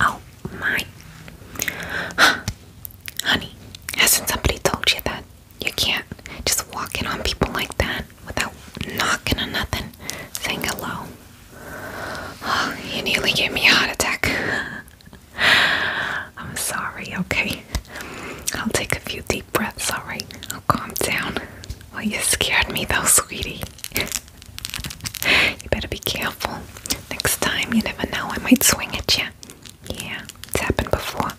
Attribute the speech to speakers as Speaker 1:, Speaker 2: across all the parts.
Speaker 1: Oh my. Honey, hasn't somebody told you that you can't just walk in on people like that without knocking on nothing, saying hello? Oh, you nearly gave me a heart attack. I'm sorry, okay? I'll take a few deep breaths, alright? I'll calm down. Well, you scared me though, sweetie. you better be careful. Next time, you never know, I might swing at you. Yeah, it's happened before.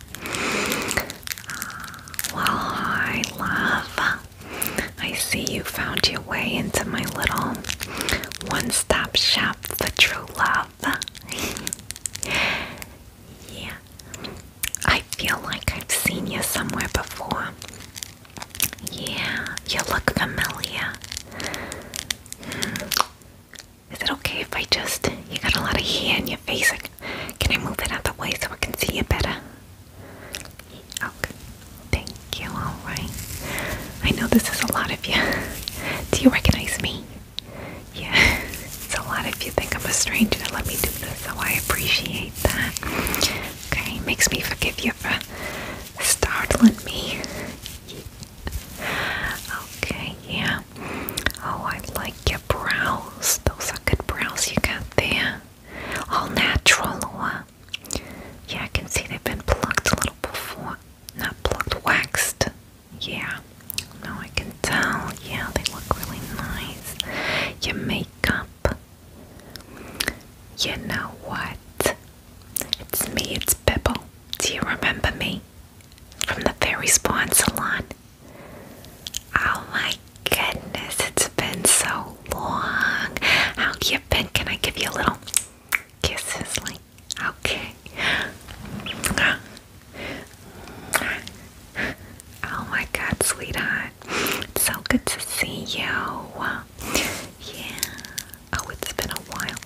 Speaker 1: Ah, well, I love. I see you found your way into my little one stop shop for true love yeah. I feel like I've seen you somewhere before. Yeah, you look familiar. Hmm. Is it okay if I just. You got a lot of hair in your face. Can I move it out the way so I can see you better? Oh, okay. Thank you, alright. I know this is a lot of you. Do you recognize me? Yeah, it's a lot if you think I'm a stranger let me do this, so I appreciate that. Okay, makes me forgive you for startling me. Okay, yeah. Oh, I like your brows. Those are good brows you got there. All natural, Laura. Yeah, I can see they've been plucked a little before. Not plucked, waxed. Yeah, no, I can tell. Yeah, they look really nice. Your makeup. You know what? It's me, it's Bibble. Do you remember me? From the Fairy Spawn Salon. Oh my goodness, it's been so long. How you been? Can I give you a little kisses, Okay. Oh my god, sweetheart. It's so good to see you. Yeah. Oh, it's been a while.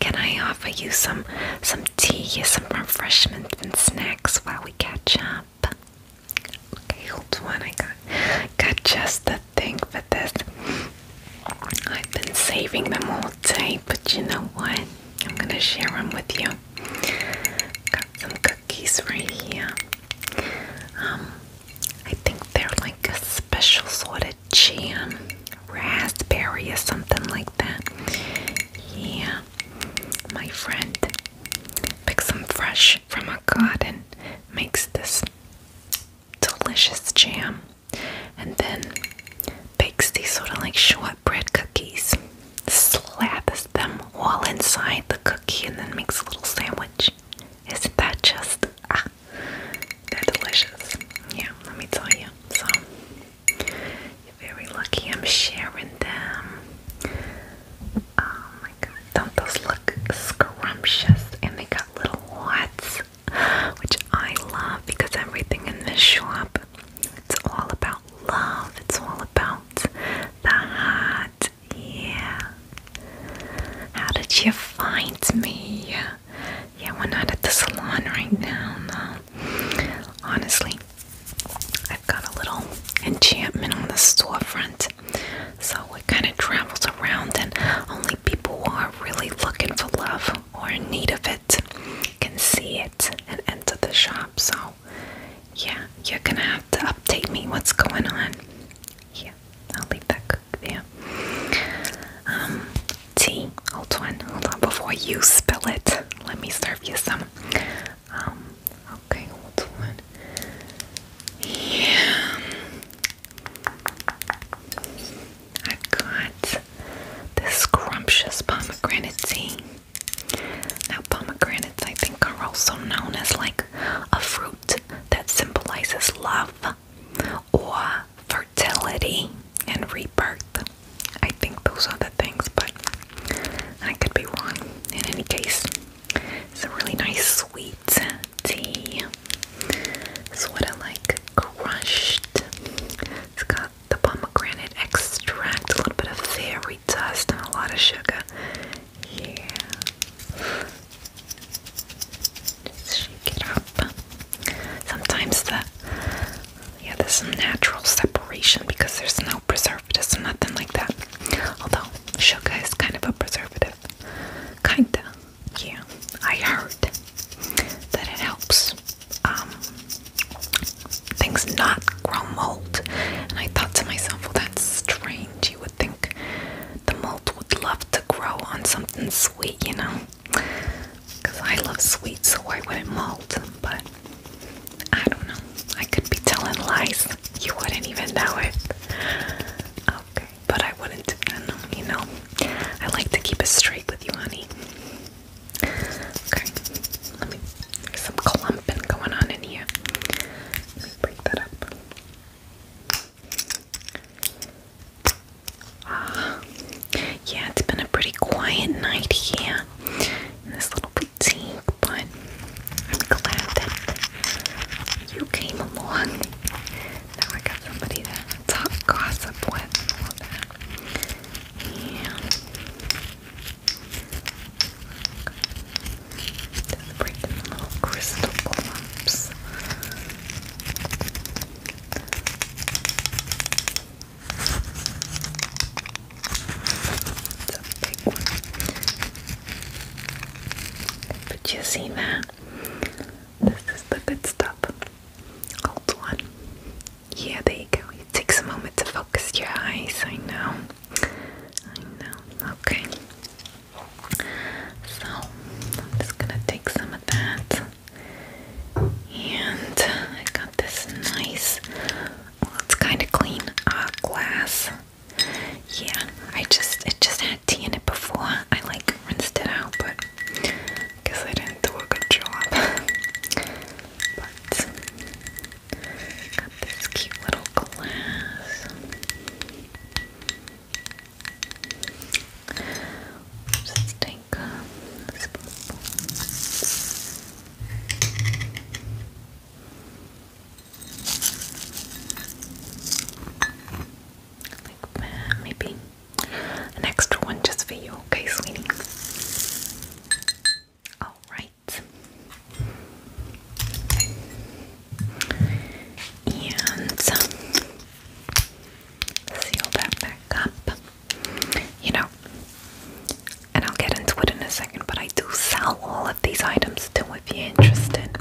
Speaker 1: Can I offer you some some tea, some refreshments and snacks while we catch up? Okay, hold on. I got got just the thing for this. I've been saving them all day, but you know what? I'm gonna share them with you. Got some cookies right here. Um, I think they're like a special sort of jam, raspberry or something like that. Yeah, my friend picks some fresh from her garden, makes this delicious jam, and then bakes these sort of like shortbread bread cookies, slathers them all inside the cookie, and then makes a little sandwich. Isn't that just ah? They're delicious. Yeah, let me tell you. So you're very lucky. I'm sharing them. Oh my god, don't those look scrumptious? And they got little watts, which I love because everything in this shop it's all about love. It's all about the heart. Yeah. How did you find me? Yeah, we're not at the salon right now, no. Honestly, I've got a little enchantment on the storefront. So it kind of travels around, and only people who are really looking for love or in need of it can see it, and enter the shop. So, yeah, you're gonna have to update me what's going on. Yeah, I'll leave that cook there. Um, tea, hold on, hold on, before you spill it, let me serve you some. Um, okay, hold on. Yeah, i got this scrumptious pomegranate tea. Now, pomegranates, I think, are also known as like a fruit that symbolizes love or fertility and rebirth. I think those are the things, but I could be wrong. In any case, it's a really nice sweet tea. Sort of like crushed the pomegranate extract, a little bit of fairy dust, and a lot of sugar. Yeah. Just shake it up. Sometimes the yeah, there's some natural separation because there's no preservatives or nothing like that. Although sugar is kind of a preservative. Kinda. Yeah. I heard that it helps um, things not grow mold. And I thought to myself, well, that's strange. You would think the mold would love to grow on something sweet, you know? Because I love sweet, so why would not mold? But I don't know. I could be telling lies. You wouldn't even know it. Okay, but I wouldn't do you know? I like to keep it straight with you, honey. Okay, There's some clumping going on in here. break that up. Ah, yeah, it's been a pretty quiet night here in this little boutique, but I'm glad that you came along. Now I got somebody to talk gossip with. Just break little crystal clumps. It's big one. But you see that? This is the good stuff. Old one. Yeah, there you go. It takes a moment to focus your eyes. I know. I know. Okay. So, I'm just gonna take some of that. And I got this nice, well, kind of clean uh, glass. Yeah, I just, it just had tea in it before. I like rinsed it out, but I I didn't do a good job. Got this cute little glass. Just take um, this maybe an extra one just for you, okay, sweetie? All right. And um, seal that back up. You know, and I'll get into it in a second, but I do sell all of these items too if you're interested.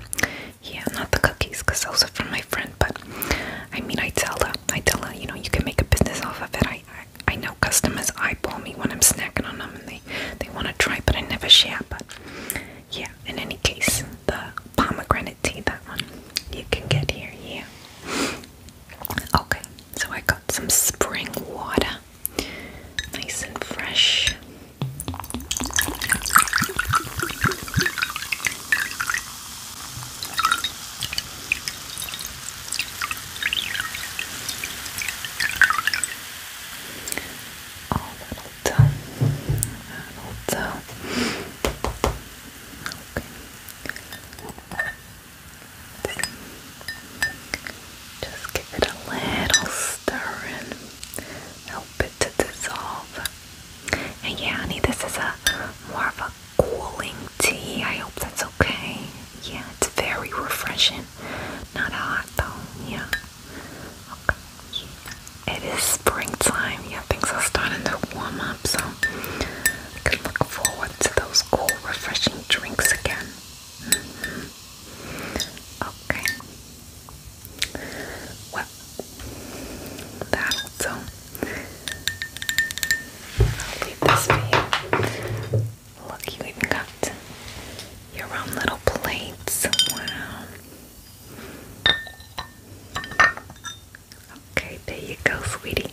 Speaker 1: Yeah, not the cookies, because those are from my friend, but I mean I tell her, I tell her, you know, you can make a business off of it. I know customers eyeball me when I'm snacking on them and they, they want to try, but I never share. But yeah, in any case, the pomegranate tea, that one, you can get here, yeah. Okay, so I got some spring water, nice and fresh. Oh, that'll do. That'll Okay. Just give it a little stir and help it to dissolve. And yeah, honey, this is a more of a cooling tea. I hope that's okay. Yeah, it's very refreshing. Not hot though. Yeah. Okay. It is springtime. Yeah, things are starting to warm up, so I can look forward to those cool, refreshing drinks again. Mm-hmm. Okay. Well, that'll do. I'll leave this for you. Look, you even got your own little plates. Wow. Okay, there you go, sweetie.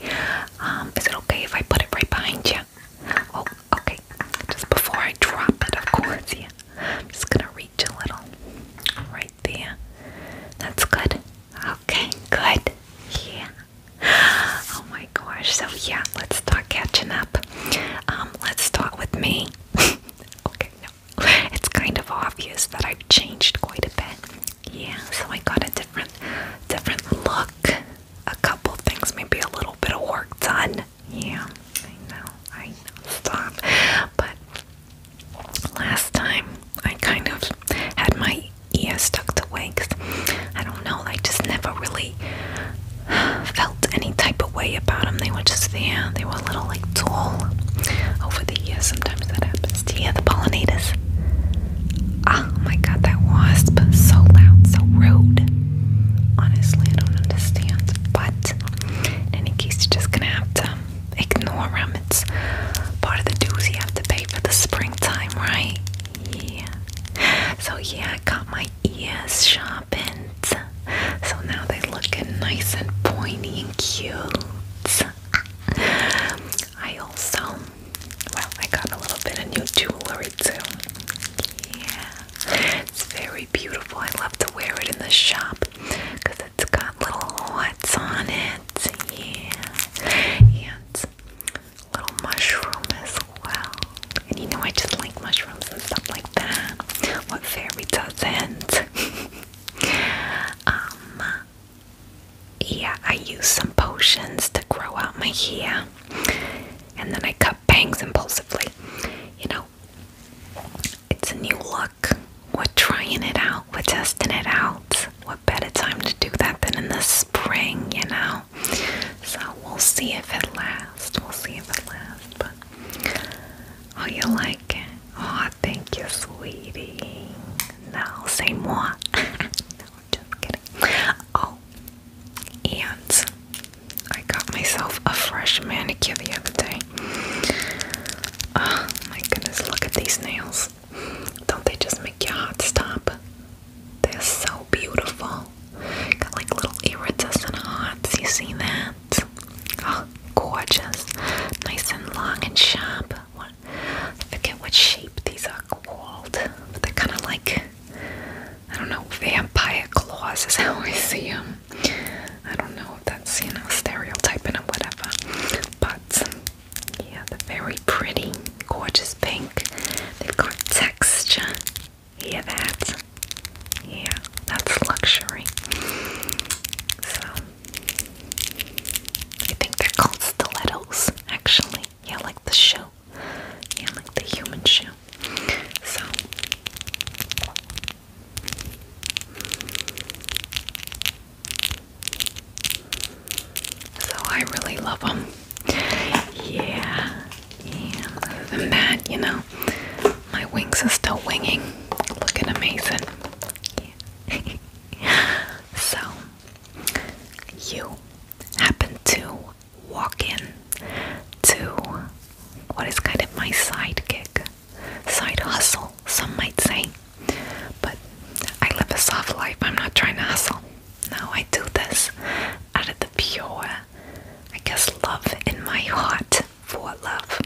Speaker 1: Um, is it okay if I put it right behind you? Oh, okay. Just before I drop it, of course, yeah. I'm just gonna reach a little right there. That's good. Okay, good. Yeah. oh my gosh. So yeah, let's start catching up. Um, let's start with me. okay, no. It's kind of obvious that I've changed quite a bit. Yeah, so I got a different different look. A couple things, maybe a little bit of work done. Yeah, I know, I know. Stop. But last time I kind of had my ears stuck to that I don't know, I just never really felt any type of way about them. They were just there, they were a little like tall over the years. Sometimes that happens. to you the pollinators? Ah, oh my god, that wasp so loud, so rude. Honestly, I don't understand, but in any case, you're just gonna have to ignore them. It's part of the dues you have to pay for the springtime, right? Yeah. So, yeah, I got my ears sharpened. So now they looking nice and pointy and cute. I also, well, I got a little bit of new jewelry too. Yeah, it's very beautiful. I love to wear it in the shop because it's got little hearts on it. Yeah, and little mushroom as well. And you know I just like mushrooms and stuff like that. What fairy doesn't? Um, yeah, I use some potions to grow out my hair. And then I cut bangs impulsively. You know, it's a new look. We're trying it out. We're testing it out. What better time to do that than in the spring, you know? So we'll see if it lasts. We'll see if it lasts. oh, you like it? Oh, thank you, sweetie. Now say more. no, just kidding. Oh, and I got myself a fresh manicure the other day. Oh my goodness, look at these nails. Don't they just make your heart stop? They're so beautiful. Got like little iridescent hearts. You see that? Oh, gorgeous. Nice and long and sharp. What, I forget what shape these are called, but they're kind of like, I don't know, vampire claws is how I see them. I don't know if that's, you know, stereotyping or whatever. But, yeah, they're very pretty, gorgeous pink. They've got texture. Hear that? Yeah, that's luxury. So, I think they're called stilettos, actually. Yeah, like the shoe. Yeah, like the human shoe. So, so I really love them. Yeah, yeah. Other than that, you know, my wings are still winging, looking amazing. so, you happen to walk in to what is kind of my sidekick, side hustle, some might say. But I live a soft life. I'm not trying to hustle. No, I do this out of the pure I guess, love in my heart for love.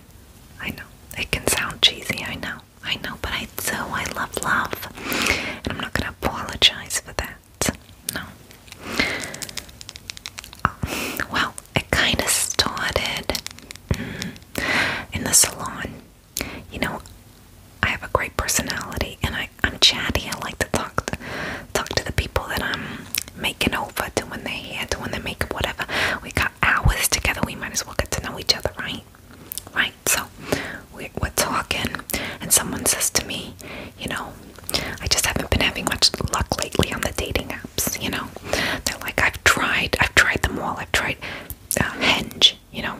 Speaker 1: I know, it can sound cheesy, I know, I know, but I do. I love love. And I'm not going to apologize for that. No. Oh, well, it kind of started mm, in the salon. You know, I have a great personality and I, am chatty. I like to talk to, talk to the people that I'm making over, doing their hair, doing their makeup, whatever. We got hours together. We might as well get to know each other, right? Right. So we're, we're talking, and someone says to me, you know, I just haven't been having much luck lately on the dating apps. You know, they're like, I've tried, I've tried them all. I've tried uh, Hinge. You know,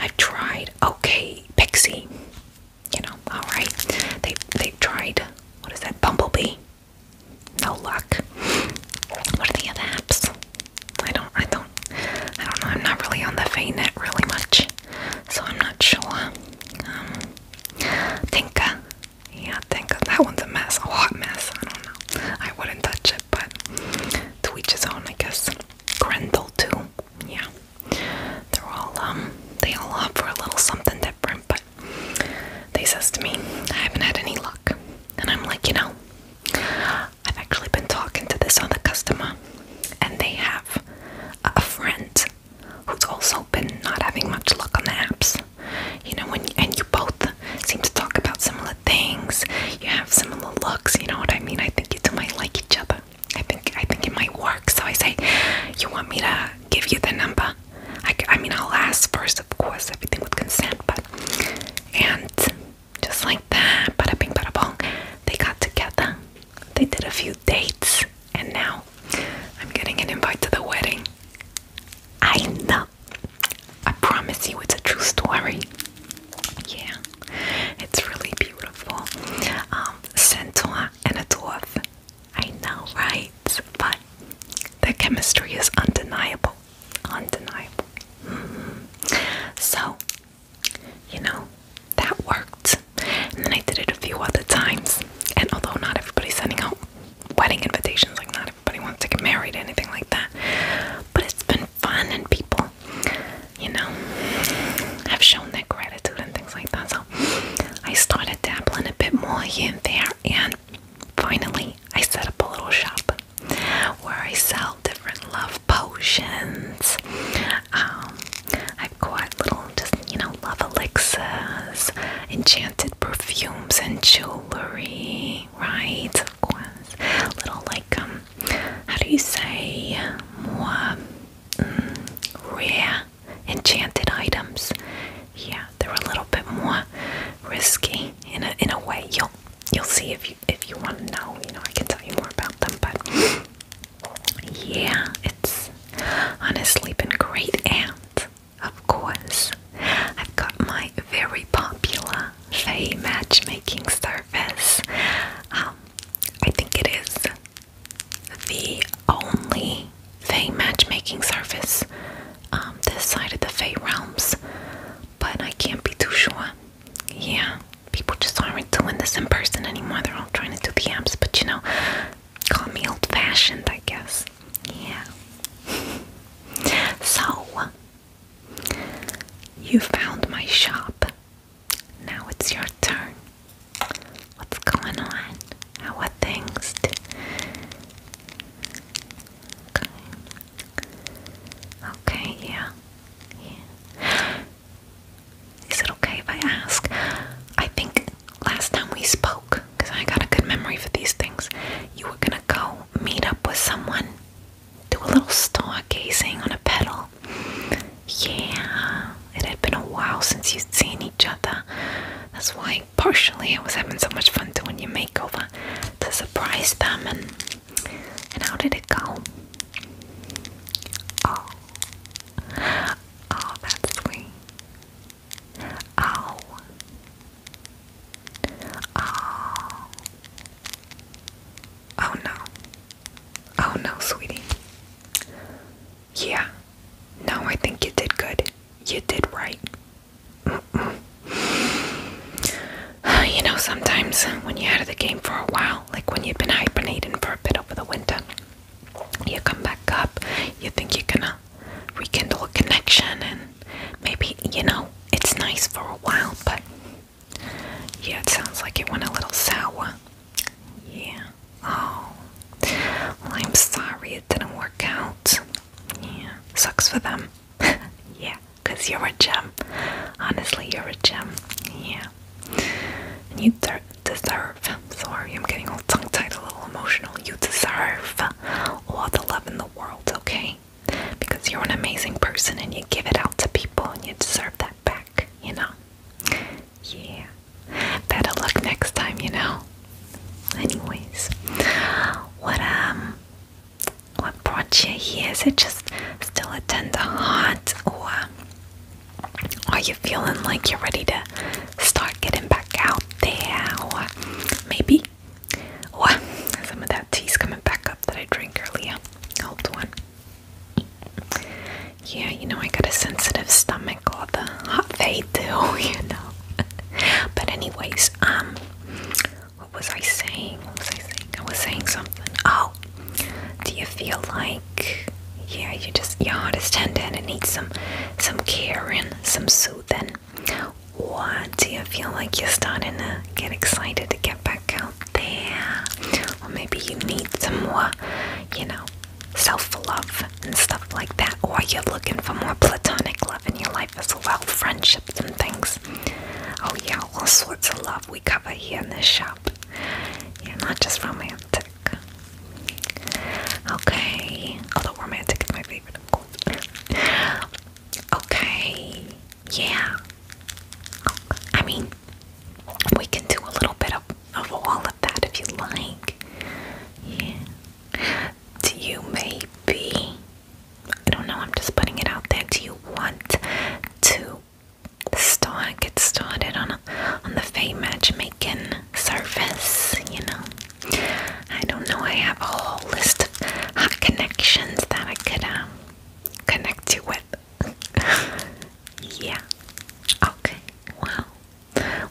Speaker 1: I've tried. Okay, Pixie you know, alright. They they've tried what is that? Bumblebee. No luck. What are the other apps? I don't I don't I don't know, I'm not really on the net really much. So I'm not sure. Um Tinka. Yeah, Tinka. That one's a mess, a hot mess. I don't know. I wouldn't touch it, but to each his own I guess. Grendel too. Yeah. They're all um, they all opt for a little something different, but they says to me, I haven't had any luck. And I'm like, you know, I've actually been talking to this other customer and they have a friend who's also been not having much luck on the apps. You know, when and you both seem to talk about similar things, you have similar looks, you know what I mean? I think you two might like each other. I think I think it might work. So I say, you want me to give you the number? I, mean, I'll ask first, of course, everything with consent. But and just like that, bada bing, bada bong, they got together. They did a few dates, and now I'm getting an invite to the wedding. I know. I promise you, it's a true story. Yeah, it's really beautiful. Um, and a dwarf I know, right? But the chemistry is undeniable. Undeniable. Mm-hmm. So, you know, that worked. And then I did it a few other times. And although not everybody's sending out wedding invitations, like not everybody wants to get married or anything like that, but it's been fun and people, you know, have shown their gratitude and things like that. I started dabbling a bit more here and there, and finally I set up a little shop where I sell different love potions. Um, I've got little, just you know, love elixirs, enchanted perfumes, and jewelry, right? Of course, little like um, how do you say more mm, rare enchanted items. Yeah, they're a little bit more risky in a in a way. You'll you'll see if you if you want to know. You know, I can tell you more about them. But yeah, it's honestly been great. And of course, I've got my very popular Faye matchmaking service. Um, I think it is the only Fae matchmaking service um, this side of the Fae realms, but I can't be too sure. Yeah, people just aren't doing this in person anymore. They're all trying to do the apps, but you know, call me old fashioned, I guess. Yeah. so, you found my shop. Now it's your turn. What's going on? How are things? Okay. Okay, Yeah. Is it okay if I ask? I think last time we spoke, because I got a good memory for these things, you were gonna go meet up with someone, do a little stargazing on a pedal. Yeah it had been a while since you'd seen each other. That's why, partially, I was having so much fun doing your makeover to surprise them. And and how did it go? Oh, oh, that's sweet. Oh, oh, oh no, oh no, sweetie. Yeah. No, I think you did good. You did right. you know, sometimes when you're out of the game for a while, like when you've been hibernating for a bit over the winter, you come back up, you think you're gonna rekindle a connection, and maybe, you know, it's nice for a while, but yeah, it sounds like it went a little sour. Yeah. Oh. I'm sorry it didn't work out. Yeah. Sucks for them. yeah. Cause you're a gem. Honestly, you're a gem. Yeah. And you deserve. Sorry, I'm getting all tongue-tied, a little emotional. You deserve all the love in the world, okay? Because you're an amazing person and you give it out to people and you deserve that back, you know? Yeah. Better luck next time, you know. Anyways, what um, what brought you here? Is it just still a tender heart, or are you feeling like you're ready to start getting back out there, or maybe, or some of that tea's coming back up that I drank earlier? Hold one. Yeah, you know, I got a sensitive stomach all the hot they do, you know. but anyways, um what was I saying? What was I saying? I was saying something. Oh. Do you feel like yeah, you just your heart is tender and it needs some some care and some soothing? Or do you feel like you're starting to get excited to get back out there? Or maybe you need some more, you know, self love and stuff like that, or you're looking for more platonic love in your life as well, friendships and things. Oh, yeah, all sorts of love we cover here in this shop. You're not just romantic. Okay, although romantic is my favorite, of course. okay, yeah. I mean, we can do a little bit of of all of that if you like. Yeah. Do you maybe I don't know, I'm just putting it out there. Do you want to start get started on a, on the fame matchmaking service, you know? I don't know, I have a whole list of connections that I could um, connect you with. yeah. Okay. Wow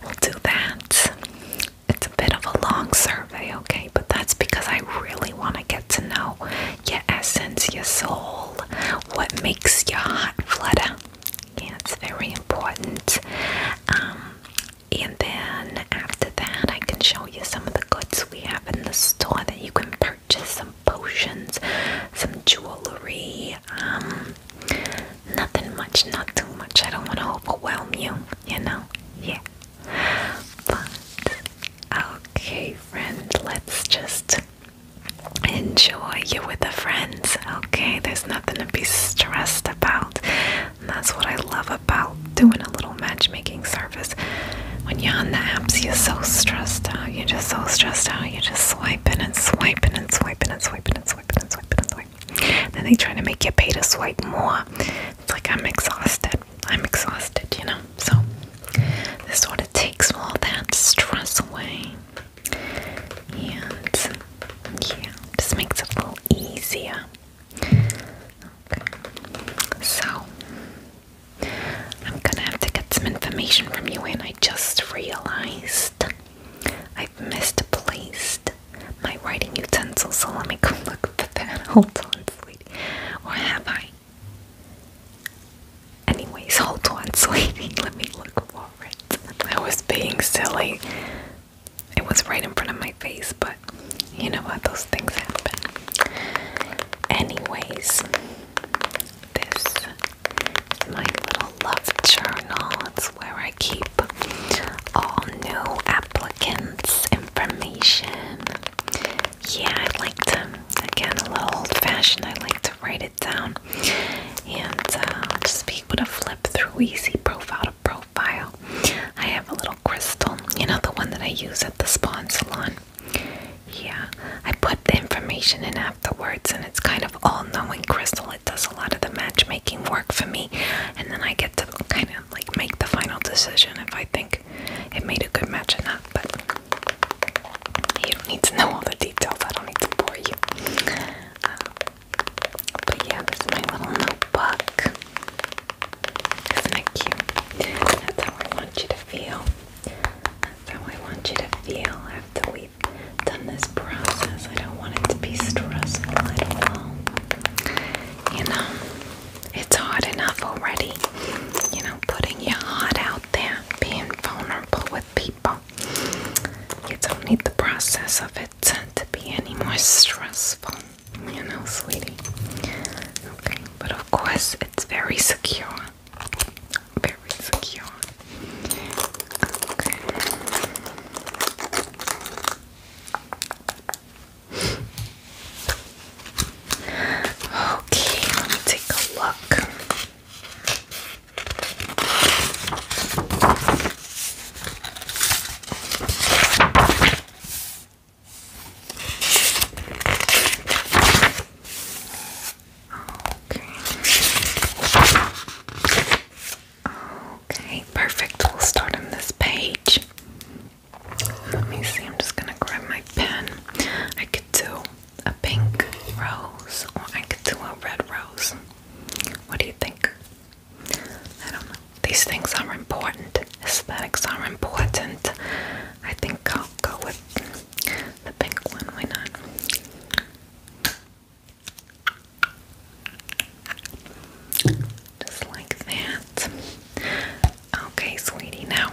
Speaker 1: we'll do that. It's a bit of a long survey, okay? But that's because I really want to get to know your essence, your soul, what makes your heart flutter. Yeah, it's very important. Um, and then after that, I can show you some of the goods we have in the store that you can purchase some potions, some jewelry, um, Nothing much, not too much. I don't want to overwhelm you, you know? Yeah. But, okay, friend, let's just enjoy you with the friends, okay? There's nothing to be stressed about. And that's what I love about doing a little matchmaking service. When you're on the apps, you're so stressed out. You're just so stressed out. You're just swiping and swiping and swiping and swiping and swiping and swiping and swiping. Then they try to make you pay to swipe more. It's like I'm exhausted. I'm exhausted, you know. So this sort of takes all that stress away. And yeah, this makes it a little easier. So I'm gonna have to get some information from you and I just realized I've misplaced my writing utensil, so let me go look for that. Hold on, sweetie. Or have I? Anyways, hold on, sweetie. Let me look for it. I was being silly. It was right in front of my face, but you know what? Those things happen. Anyways, this my little love journal where I keep all new applicants' information. Yeah, I like to, again, a little old fashioned, I like to write it down and uh, just be able to flip through easy profile to profile. I have a little crystal, you know, the one that I use at the spa salon. Yeah, I put the information in afterwards, and it's kind of all-knowing crystal. It does a lot of the matchmaking work for me, and then I get to kind of like make the final decision if I think it made a good match or not. But you don't need to know all the details. I don't need to bore you. Um, but yeah, this is my little notebook. Isn't that cute? That's how I want you to feel. That's how I want you to feel after we done this process. I don't want it to be stressful at all. You know, it's hard enough already. You know, putting your heart out there, being vulnerable with people. You don't need the process of it to be any more stressful. You know, sweetie. Okay, but of course, it's very secure. Very secure. Okay. Okay, let me take a look. Okay. Okay, perfect. We'll start on this page. Let me see, I'm just gonna grab my pen. I could do a pink rose or I could do a red rose. What do you think? These things are important. Aesthetics are important. I think I'll go with the pink one. Why not? Just like that. Okay, sweetie, now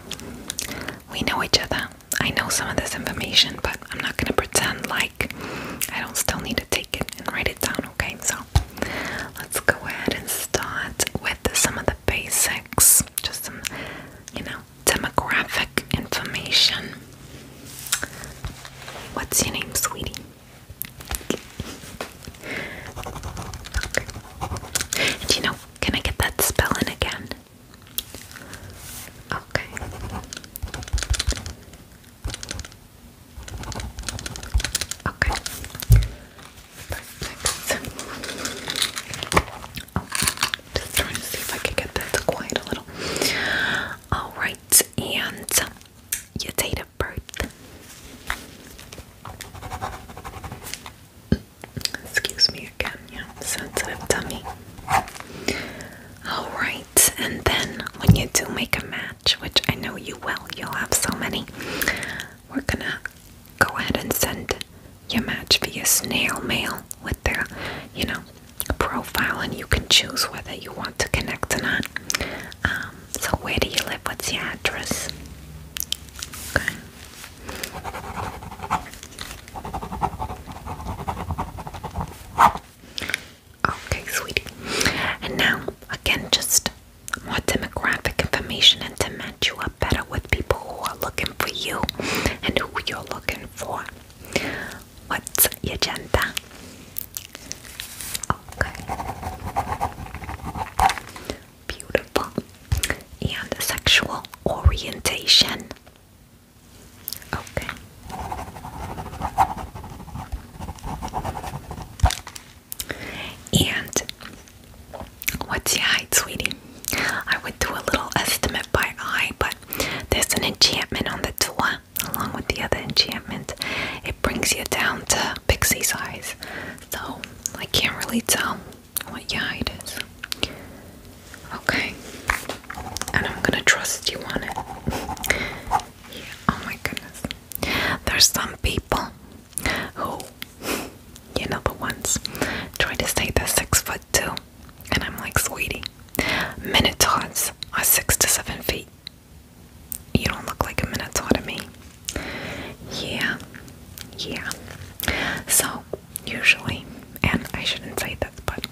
Speaker 1: we know each other. I know some of this information, but I'm not gonna pretend like I don't still need to take it and write it down, okay? So let's go ahead and start with some of the basics, just some, you know, demographic information. What's your name, sweetie? Okay. And you know, can I get that spelling again? Okay. Okay. Perfect. just trying to see if I could get that to quiet a little. All right, and you date Excuse me again, yeah, sensitive tummy. Alright, and then when you do make a match, which I know you will, you'll have so many, we're gonna go ahead and send your match via snail mail with their, you know, profile, and you can choose whether you want to connect or not. Um, so where do you live? What's your address? Okay. sweetie. And now, again, just more demographic information and to match you up better with people who are looking for you and who you're looking for. What's your gender? Beautiful. And sexual orientation. Okay. And what's your height, sweetie? I would do a little estimate by eye, but there's an enchantment on the door along with the other enchantment, it brings you down to pixie size. So I can't really tell what your height is. Okay. And I'm gonna trust you on it. Oh my goodness. There's some people who, you know, the ones trying to say they're six foot two. And I'm like, sweetie, minotaurs are six to seven feet. You don't look like a Minotaur to me. Yeah, yeah. So, usually, and I shouldn't say this, but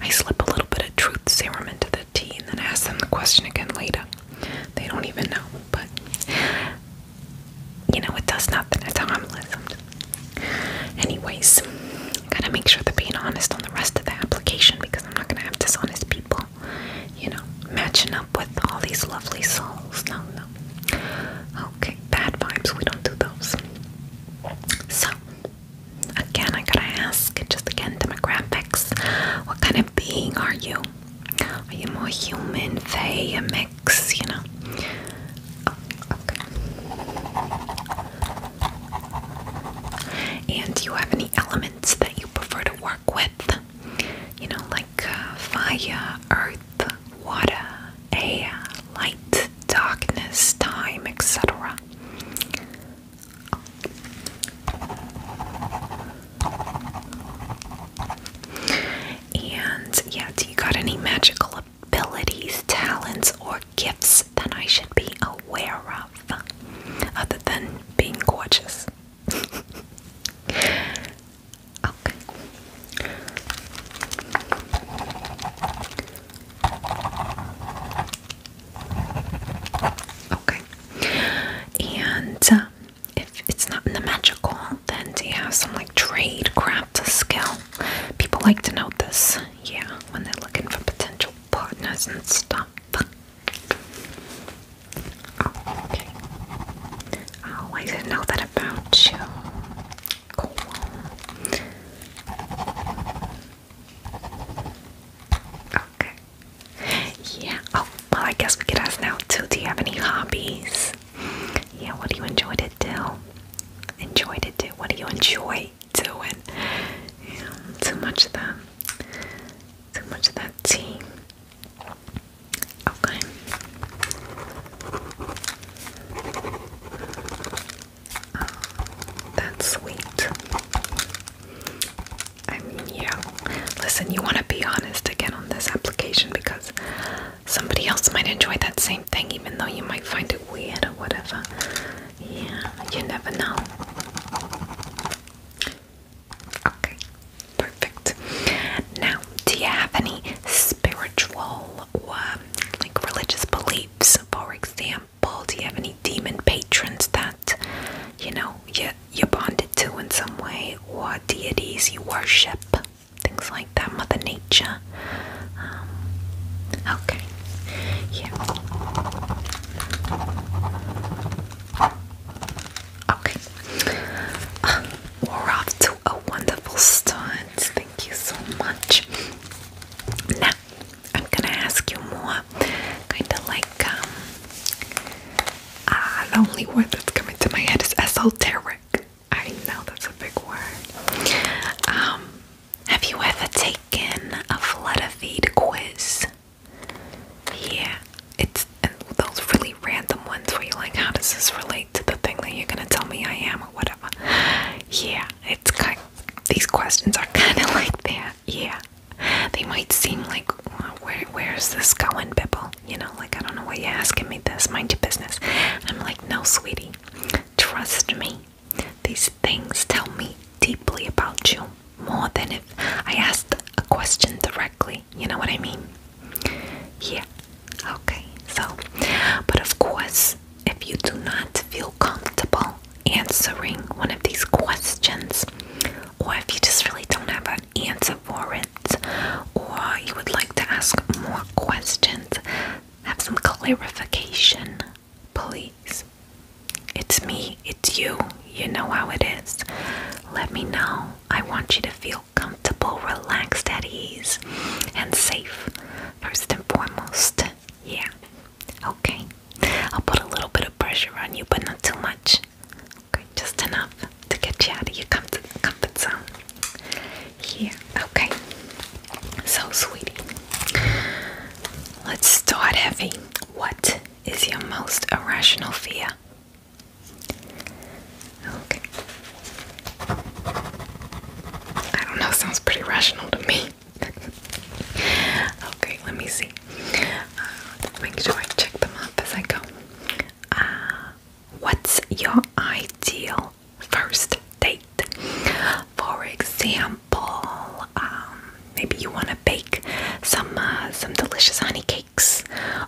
Speaker 1: I slip a little bit of truth serum into the tea and then ask them the question again later. They don't even know, but you know, it does nothing. It's harmless. Anyways, gotta make sure they're being honest on the rest of the application because I'm not gonna have dishonest people you know, matching up with all these lovely souls. No, no. Okay, bad vibes, we don't do those. So, again, I gotta ask, just again, demographics. What kind of being are you? Are you more human, fae, a mix, you know? Oh, okay. And do you have any elements that you prefer to work with. You know, like uh, fire, earth, water, air, light, darkness, time, etc. And yeah, do you got any magical abilities, talents, or gifts that I should be aware of other than being gorgeous? okay. Okay. And um, if it's not in the magical, then do you have some like trade craft skill? People like to know this, yeah, when they're looking for potential partners and stuff okay. Oh, I didn't know that about you. Cool. Okay. Yeah. Oh, well, I guess we could ask now Do you have any hobbies? Yeah, what do you enjoy to do? Enjoy to do? What do you enjoy doing? too much of that. So much of that tea. Okay. Oh, that's sweet. I mean, yeah. Listen, you want to be honest again on this application because somebody else might enjoy that same thing, even though you might find it weird or whatever. Yeah, you never know. Okay, perfect. Now, do you have any spiritual or um, like religious beliefs? For example, do you have any demon patrons that you know you you're bonded to in some way, or deities you worship? Things like that, Mother Nature. Um, okay, yeah. Okay. we're off to a wonderful start. Thank you so much. Now, I'm gonna ask you more, kind of like, um, the only word that's coming to my head is esoteric. I know that's a big word. Um, have you ever taken a Flutterfeed quiz? Yeah, it's those really random ones where you're like, how does this relate to the thing that you're gonna tell me I am or whatever? Yeah, it's kind. These questions are kind of like that. Yeah, they might seem like, where is this going, Bibble? You know, like I don't know why you're asking me this. Mind your business. I'm like, no, sweetie, trust me. These things tell me deeply about you more than if I asked a question directly. You know what I mean? Yeah. Okay. So, but of course, if you do not feel comfortable answering one of these questions, or if you just really don't have an answer for it, or you would like to ask more questions, have some clarification, please. It's me, it's you. You know how it is. Let me know. I want you to feel comfortable, relaxed, at ease, and safe, first and foremost. Yeah. Okay. I'll put a little bit of pressure on you, but not too much. Okay, just enough to get you out of your comfort, zone. Here, yeah. okay. So, sweetie, let's start heavy. What is your most irrational fear? Okay. I don't know, sounds pretty rational to me. okay, let me see. Uh, make sure I check them up as I go. Uh, what's your ideal first date? For example, um, maybe you want to bake some uh, some delicious honey cake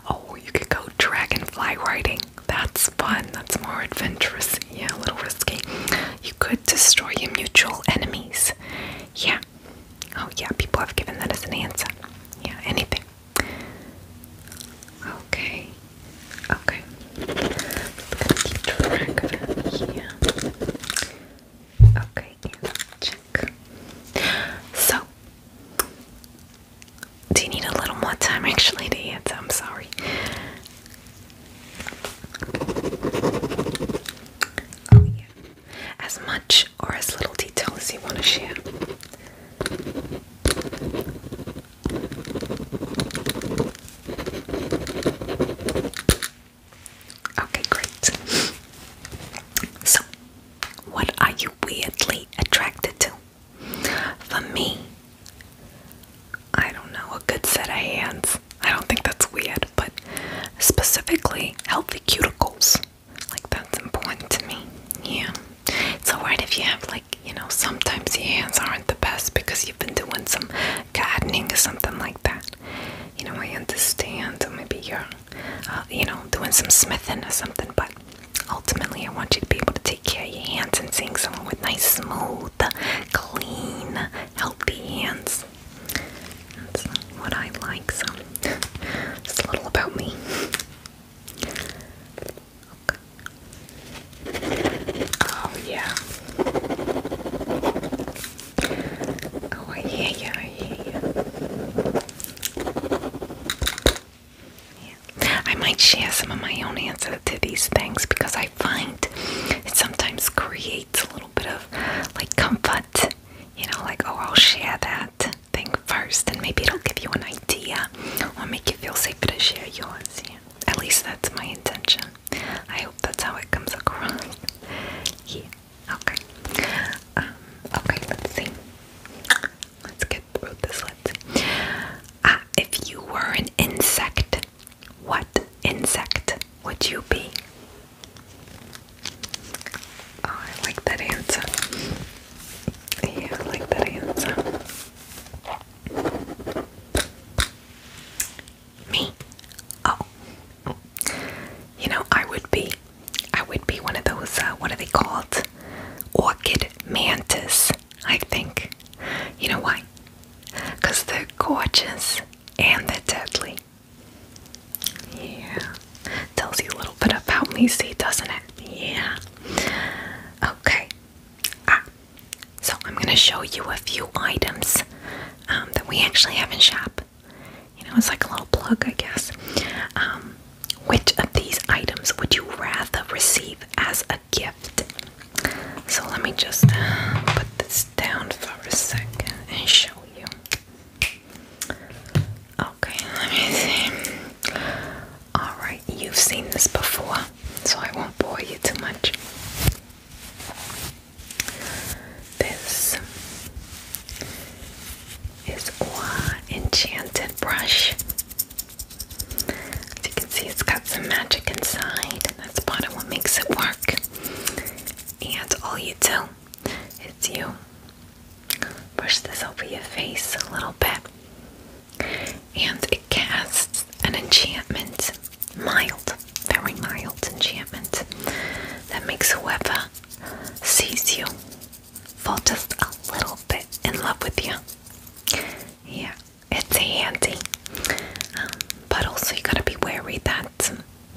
Speaker 1: Oh, you could go dragonfly riding. That's fun. That's more adventurous. Yeah, a little risky. You could destroy your mutual enemies. Yeah. Oh, yeah, people have given that as an answer. Yeah, anything. Okay. Okay. Okay, So, do you need a little more time actually to answer? I'm sorry. Oh, as much or as little detail you want to share. Okay, great. So, what are you weirdly attracted to? For me, I don't know, a good set of hands. I don't think that's weird, but specifically healthy cuticles. Like, that's important to me. Yeah. It's alright if you have, like, you know, sometimes your hands aren't the best because you've been doing some gardening or something like that. You know, I understand. Or maybe you're uh, you know, doing some smithing or something. But ultimately, I want you to be able to take care of your hands and seeing someone with nice, smooth, clean, healthy hands. That's what I like. So, just a little about me. Okay. Oh yeah. Oh, I hear you. I yeah. I might share some of my own answer to these things because I find it sometimes creates a little bit of like comfort. You know, like, oh, I'll share that thing first, and maybe it'll give you an idea or make you feel safer to share yours. Yeah. At least that's my intention. I hope that's how it comes across. yeah. Okay. Um, okay, let's see. Let's get through this. Let's see. Ah, if you were an insect, what insect would you be? Oh, I like that answer. Yeah, I like that answer. Me? Oh. You know, I would be I would be one of those, uh, what are they called? Orchid mantis, I think. You know why? Because they're gorgeous and they're deadly. Yeah. Tells you a little bit about me, see, doesn't it? Yeah. Okay. Ah. So I'm going to show you a few items um, that we actually have in shop you know, it's like a little plug, I guess. Um, which of these items would you rather receive as a gift? So let me just put this down for a second and show you. Okay, let me see. Alright, you've seen this before, so I won't bore you too much. This is Gua Enchanted Brush. As you can see, it's got some magic inside, that's part of what makes it work. And all you do is you brush this over your face a little bit, and it casts an enchantment, mild, very mild enchantment, that makes whoever sees you fall just a little bit in love with you. Yeah, it's handy. Um, but also, you gotta be wary that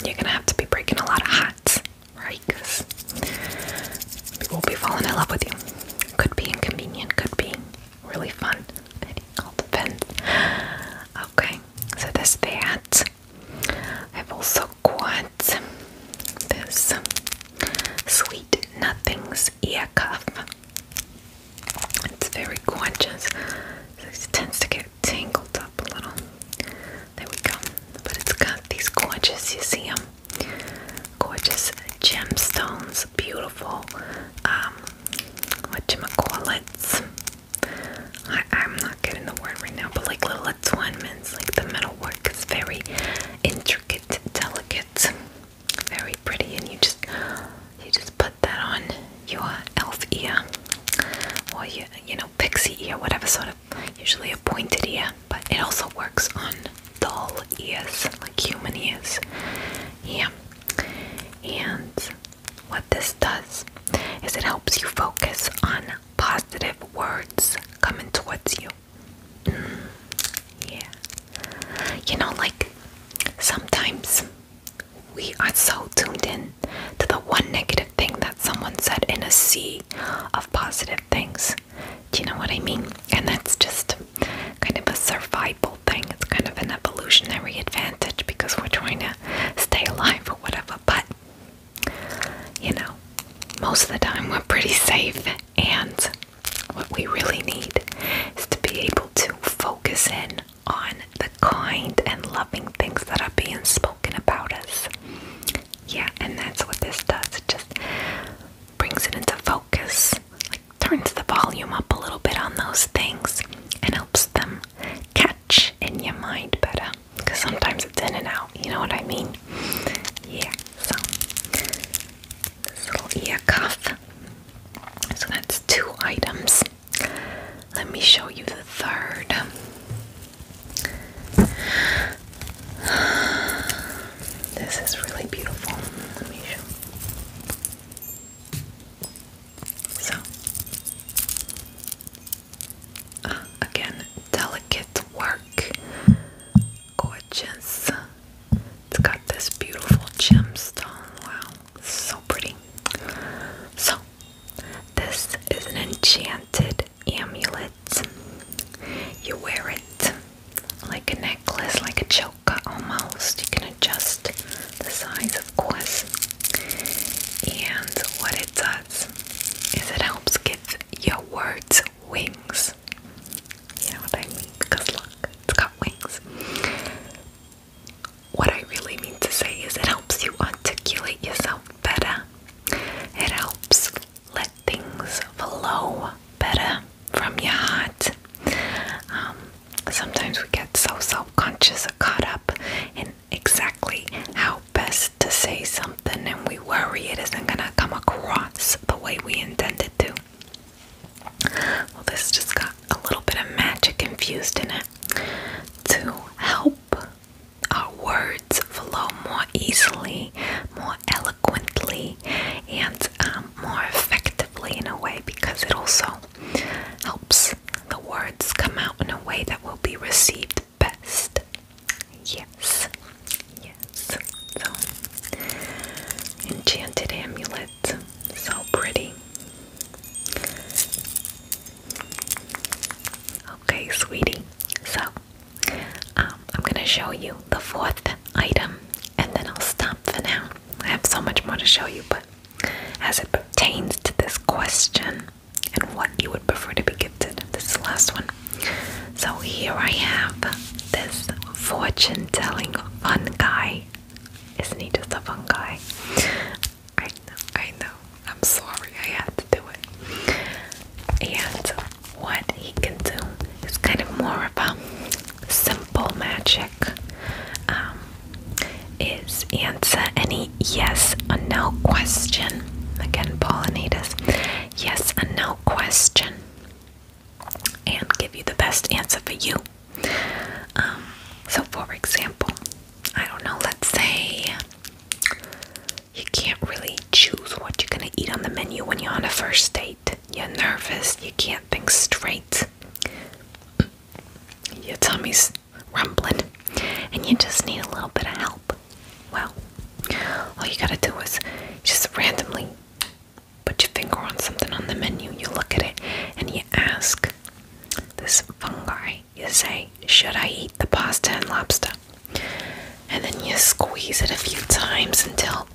Speaker 1: you're gonna have to be breaking a lot of hearts, right? Because people will be falling in love with you. Could be inconvenient, could be really fun. It all depends. Okay, so this that. I've also got want this Sweet Nothings ear cuff. It's very gorgeous. It tends to get tangled up a little. There we go. But it's got these gorgeous, you see them? Gorgeous gemstones, beautiful, um, whatchamacallits. I, I'm not getting the word right now, but like little adornments, like the metalwork is very intricate, delicate, very pretty, and you just you just put that on your elf ear or your you know pixie ear, whatever sort of usually a pointed ear, but it also works on doll ears, like human ears. Yeah. And what this does is it helps you focus on positive words coming towards you. Yeah. You know, like sometimes we are so tuned in to the one negative thing that someone said in a sea of positive things. Do you know what I mean? And that's just kind of a survival thing. It's kind of an evolutionary advantage because we're trying to stay alive or whatever. But you know, most of the time we're pretty safe, and what we really need is to be able to focus in on the kind and loving things that are being spoken about us. Yeah, and that's what this does. It just brings it into focus, like turns the volume up a little bit on those things, and helps them catch in your mind better. Because sometimes it's in and out, you know what I mean? Yeah. So this little ear cuff. So that's two items. Let me show you the third. This is really beautiful. Let me show. So uh, again, delicate work gorgeous. It's got this beautiful gemstone. Wow, so pretty. So, this is an enchanted amulet. You wear it like a necklace, like a choker almost. You can adjust the size, of course. And what it does is it helps give your words wings. You know what I mean? Because look, it's got wings. What I really mean to say is it helps you articulate yourself better. It helps let things flow better from your heart. Um, sometimes we get so self conscious or caught up in exactly how best to say something something and we worry it isn't gonna come across the way we intended to. Well, this just got a little bit of magic infused in it to help our words flow more easily, more eloquently, and um, more effectively in a way because it also helps the words come out in a way that will be received best Yes, yes. So, enchanted amulet. So pretty. Okay, sweetie. So, um, I'm gonna show you the fourth item and then I'll stop for now. I have so much more to show you, but as it pertains to this question and what you would prefer to be gifted, this is the last one. So here I have this fortune telling fun guy. Isn't he just a guy? I know, I know. I'm sorry, I had to do it. And what he can do is kind of more of a simple magic. Um, is answer any yes or no question. Again, pollinators. Yes or no question and give you the best answer for you. Um, so, for example, I don't know, let's say you can't really choose what you're going to eat on the menu when you're on a first date. You're nervous, you can't think straight, your tummy's rumbling, and you just need a little bit of help. Well, all you gotta do is just randomly put your finger on something on the menu, you look at it, and you ask this fungi, you say, Should I eat the pasta and lobster? And then you squeeze it a few times until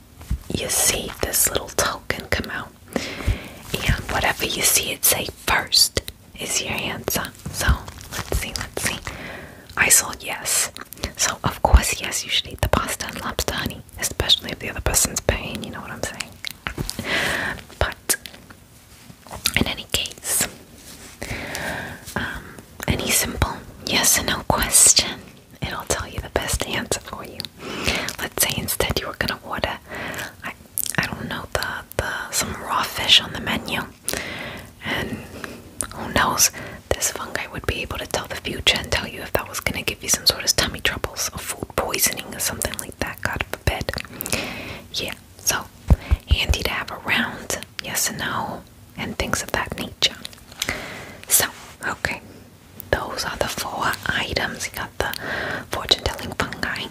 Speaker 1: you see this little token come out. And whatever you see it say first is your answer. So let's see, let's see. I saw yes. So, of course, yes, you should eat the pasta and lobster, honey, especially if the other person's paying, you know what I'm saying? But, in any case, um, any simple yes or no question, it'll tell you the best answer for you. Let's say instead you were gonna order, I, I don't know, the, the some raw fish on the menu, and who knows? This fungi would be able to tell the future and tell you if that was going to give you some sort of tummy troubles or food poisoning or something like that, God forbid. Yeah, so handy to have around, yes and no, and things of that nature. So, okay, those are the four items. You got the fortune telling fungi,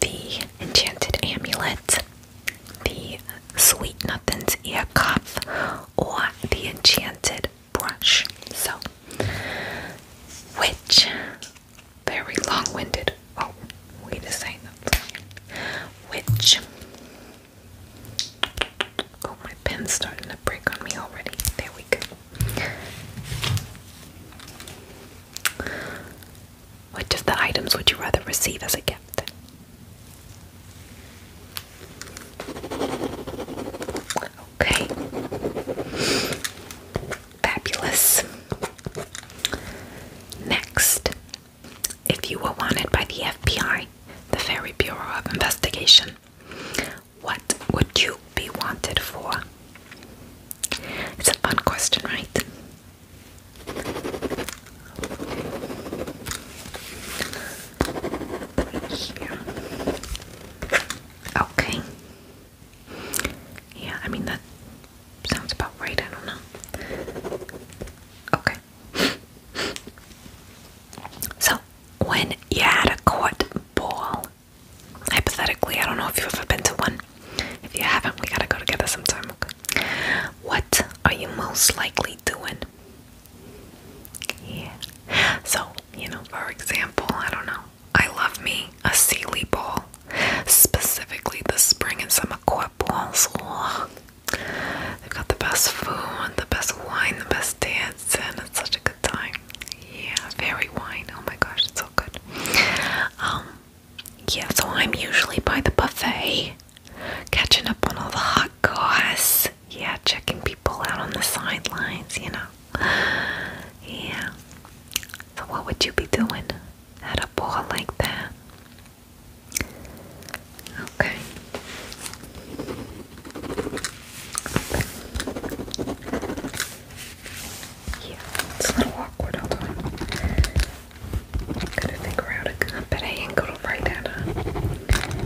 Speaker 1: the enchanted amulet, the Sweet Nothing's ear cuff, or the enchanted brush. So, which very long-winded. Oh, wait a second. Which? Oh, my pen's starting to break on me already. There we go. Which of the items would you rather receive as a gift? Okay. Fabulous. Next, if you were wanted by the FBI, the Ferry Bureau of Investigation, what would you be wanted for? It's a fun question, right? Okay. Yeah, I mean that sounds about right, I don't know. Okay. So, when you had a court ball, hypothetically, I don't know if you've ever been to one. If you haven't, we gotta go together sometime. Okay? What are you most likely doing? Yeah. So, you know, for example, I don't know, I love me a Sealy ball, specifically the spring and summer court balls. Oh, they've got the best food, the best wine, the best dance, and it's such a good time. Yeah, very wine. Oh my gosh, it's so good. Um, yeah, so I'm usually by the buffet. Catching up on all the hot guys. Yeah, checking people out on the sidelines, you know. Yeah. So, what would you be doing at a ball like that? Okay. Yeah, it's a little awkward, hold on. Gotta figure out a gun, I ain't gonna write that up. Okay.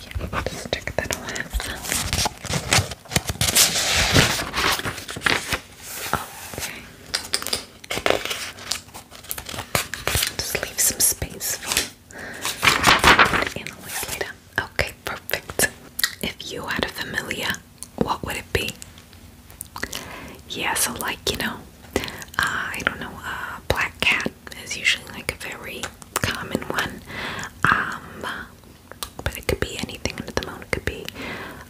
Speaker 1: Yeah, I'll just check Okay. Just leave some space for analyze later. Okay, perfect. If you had a familiar, what would it be? Yeah, so like, you know, uh, I don't know, uh, black cat is usually like a very common one. Um, but it could be anything under the moon. It could be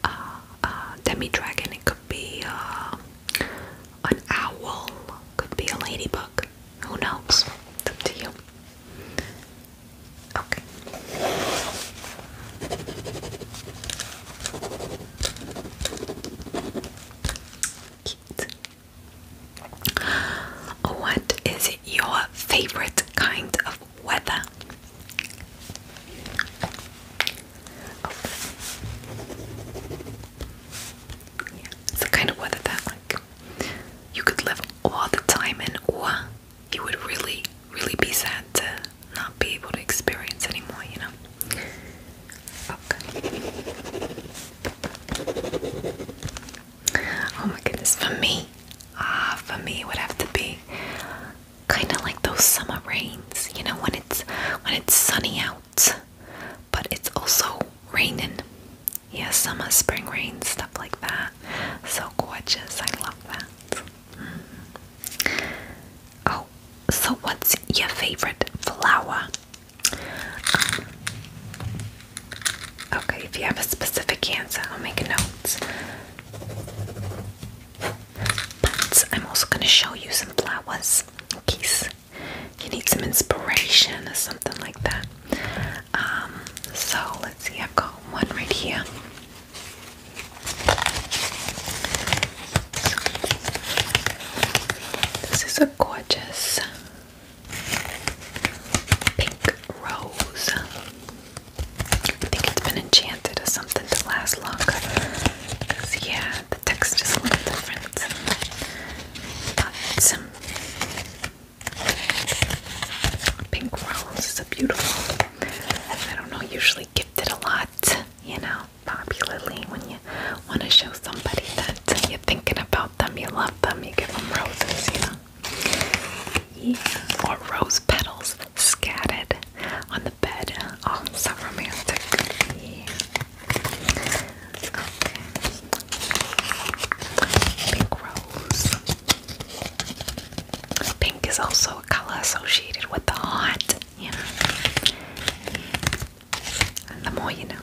Speaker 1: uh, a uh, demi dragon. It could be uh, an owl. Could be a ladybug. Who knows? up to you. Okay. What is your favorite kind of weather? the kind of weather that like you could live all the time in, you would really, really be sad to not be able to experience anymore. You know, Oh my goodness, for me, ah, for me it would have to be kind of like those summer rains, you know, when it's when it's sunny out, but it's also raining. Yeah, summer, spring rain, stuff like that. So gorgeous, I love that. Mm-hmm. Oh, so what's your favorite flower? Um, okay, if you have a specific answer, I'll make a note. But I'm also going to show you some flowers in case you need some inspiration or something like that. Um, so let's see, I've got one right here. This is a gorgeous pink rose. I think it's been enchanted or something to last longer. yeah, the text is a little different. But um, pink rose is a beautiful. I don't know. Usually gifted a lot, you know popularly when you want to show somebody that you're thinking about them, you love them, you give them roses, Yeah. Or rose petals scattered on the bed. Oh, so romantic. Pink rose. Pink is also a color associated with the hot, you and the more you know.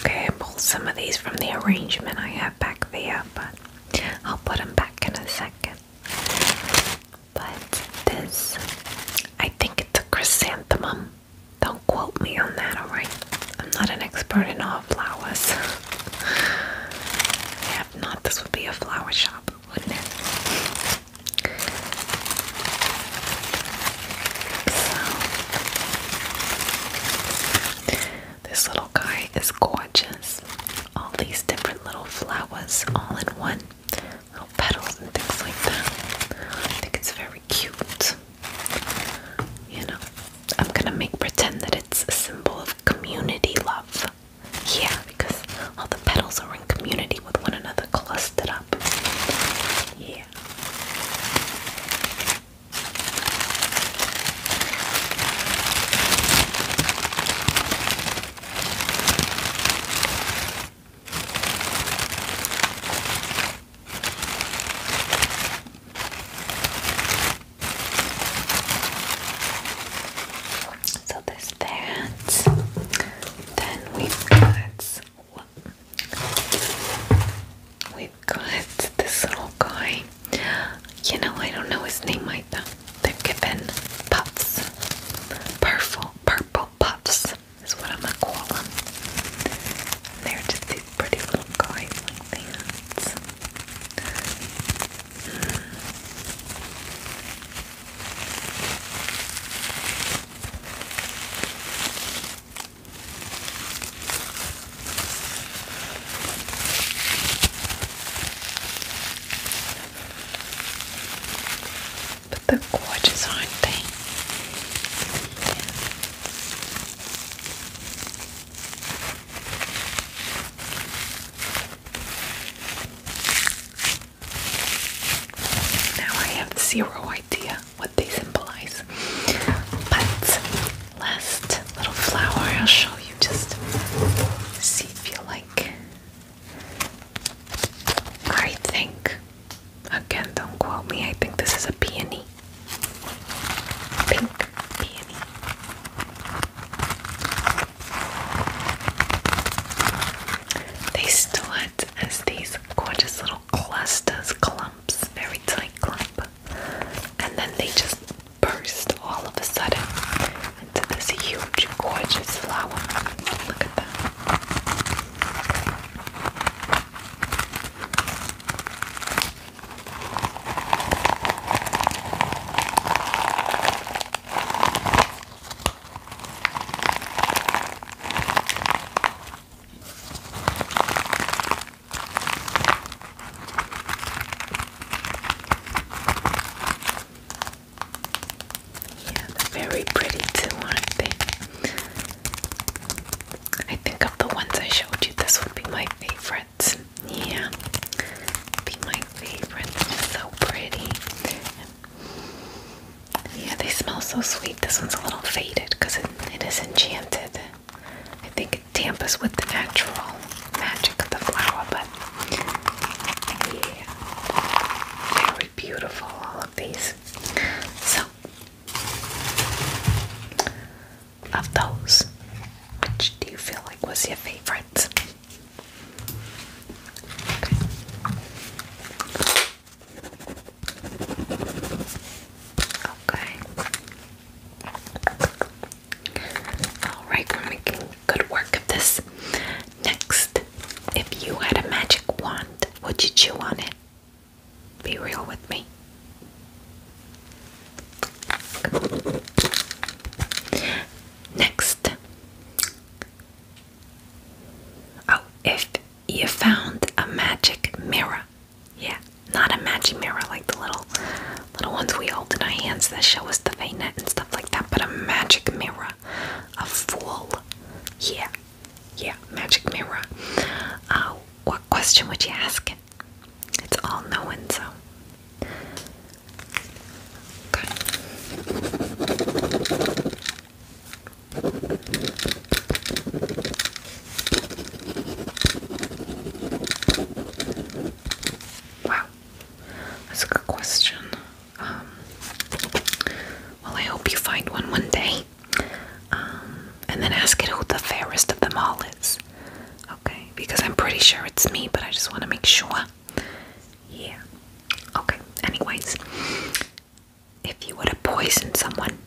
Speaker 1: Okay, I pulled some of these from the arrangement I have back there, but I'll put them back in a second. But this, I think it's a chrysanthemum. Don't quote me on that, alright? I'm not an expert in all flowers. yeah, if not, this would be a flower shop, wouldn't it? this little guy is gorgeous. All these different little flowers all in one. Little petals and things like that. I think it's very cute. You know, I'm gonna make pretend that it's a symbol of community love. Yeah, because all the petals are in community with one another, clustered up. Yeah. So there's that. Then we got We've got this little guy. You know, I don't know his name either. They're given puffs. Purple, purple puffs is what I'm gonna call them. They're just these pretty little guys but they gorgeous, aren't they? Now I have zero idea what they symbolize. But last little flower I'll show you just see if you like. I think again don't quote me, I think this is a peony. Pink peony. They still as these gorgeous little clusters, clumps, very tight clump, and then they just burst all of a sudden into this huge, gorgeous flower. Look at that. Yeah, very pretty too, aren't they? I think of the ones I showed you, this would be my favorite. Yeah, be my favorite. so pretty. Yeah, they smell so sweet. This one's a little faded because it is enchanted. I think it tampers with the natural magic of the flower, but yeah, very beautiful, all of these. So, of those, which do you feel like was your favorite? Okay. Alright, we making good work of this. Next, if you had a magic wand, would you chew on it? Be real with me. Next. Oh, if you found a magic mirror. Yeah, not a magic mirror like the little little ones we hold in our hands that show us the vein and stuff like that, but a magic mirror. A fool. Yeah. Yeah, magic mirror. Uh, what question would you ask It's all knowing, so. Wow, that's a good question. Um, well, I hope you find one one day, um, and then ask it who the fairest of them all is. Okay, because I'm pretty sure it's me, but I just want to make sure. Yeah. Okay. Anyways, if you were to poison someone,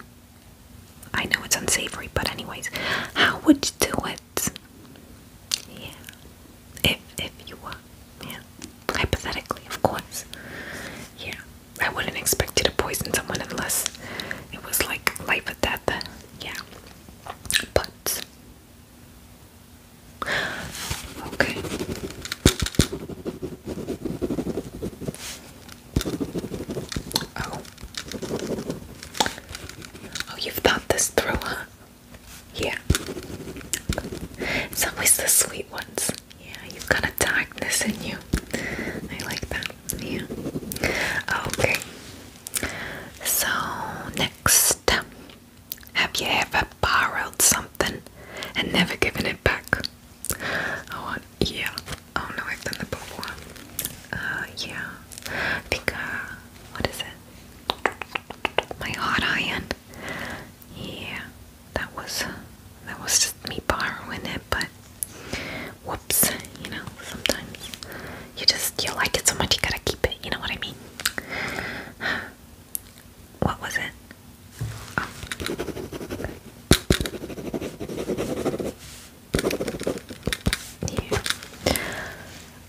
Speaker 1: I know it's unsavory, but anyways, how would you do it? Yeah, if if you were, yeah, hypothetically, of course. Yeah, I wouldn't expect you to poison someone unless it was like life or death. Yeah, but okay. Oh. Oh, you've thought this through, huh? Yeah. It's always the sweet ones. Yeah, you've got a darkness in you. I like that. Yeah. Okay. So, next. Have you ever borrowed something and never given it back? Oh yeah, oh no, I've done that before. Uh, yeah, I think, uh, what is it? My hot iron. Yeah, that was, that was just me borrowing it, but whoops, you know, sometimes you just, you like it so much you gotta keep it, you know what I mean? What was it?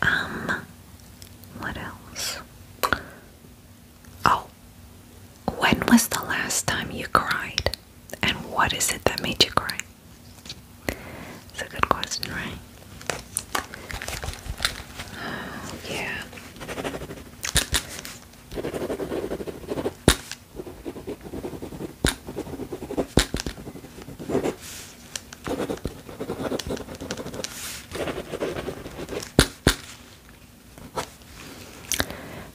Speaker 1: Um, what else? Oh, when was the last time you cried? And what is it that made you cry? It's a good question, right? Oh, yeah.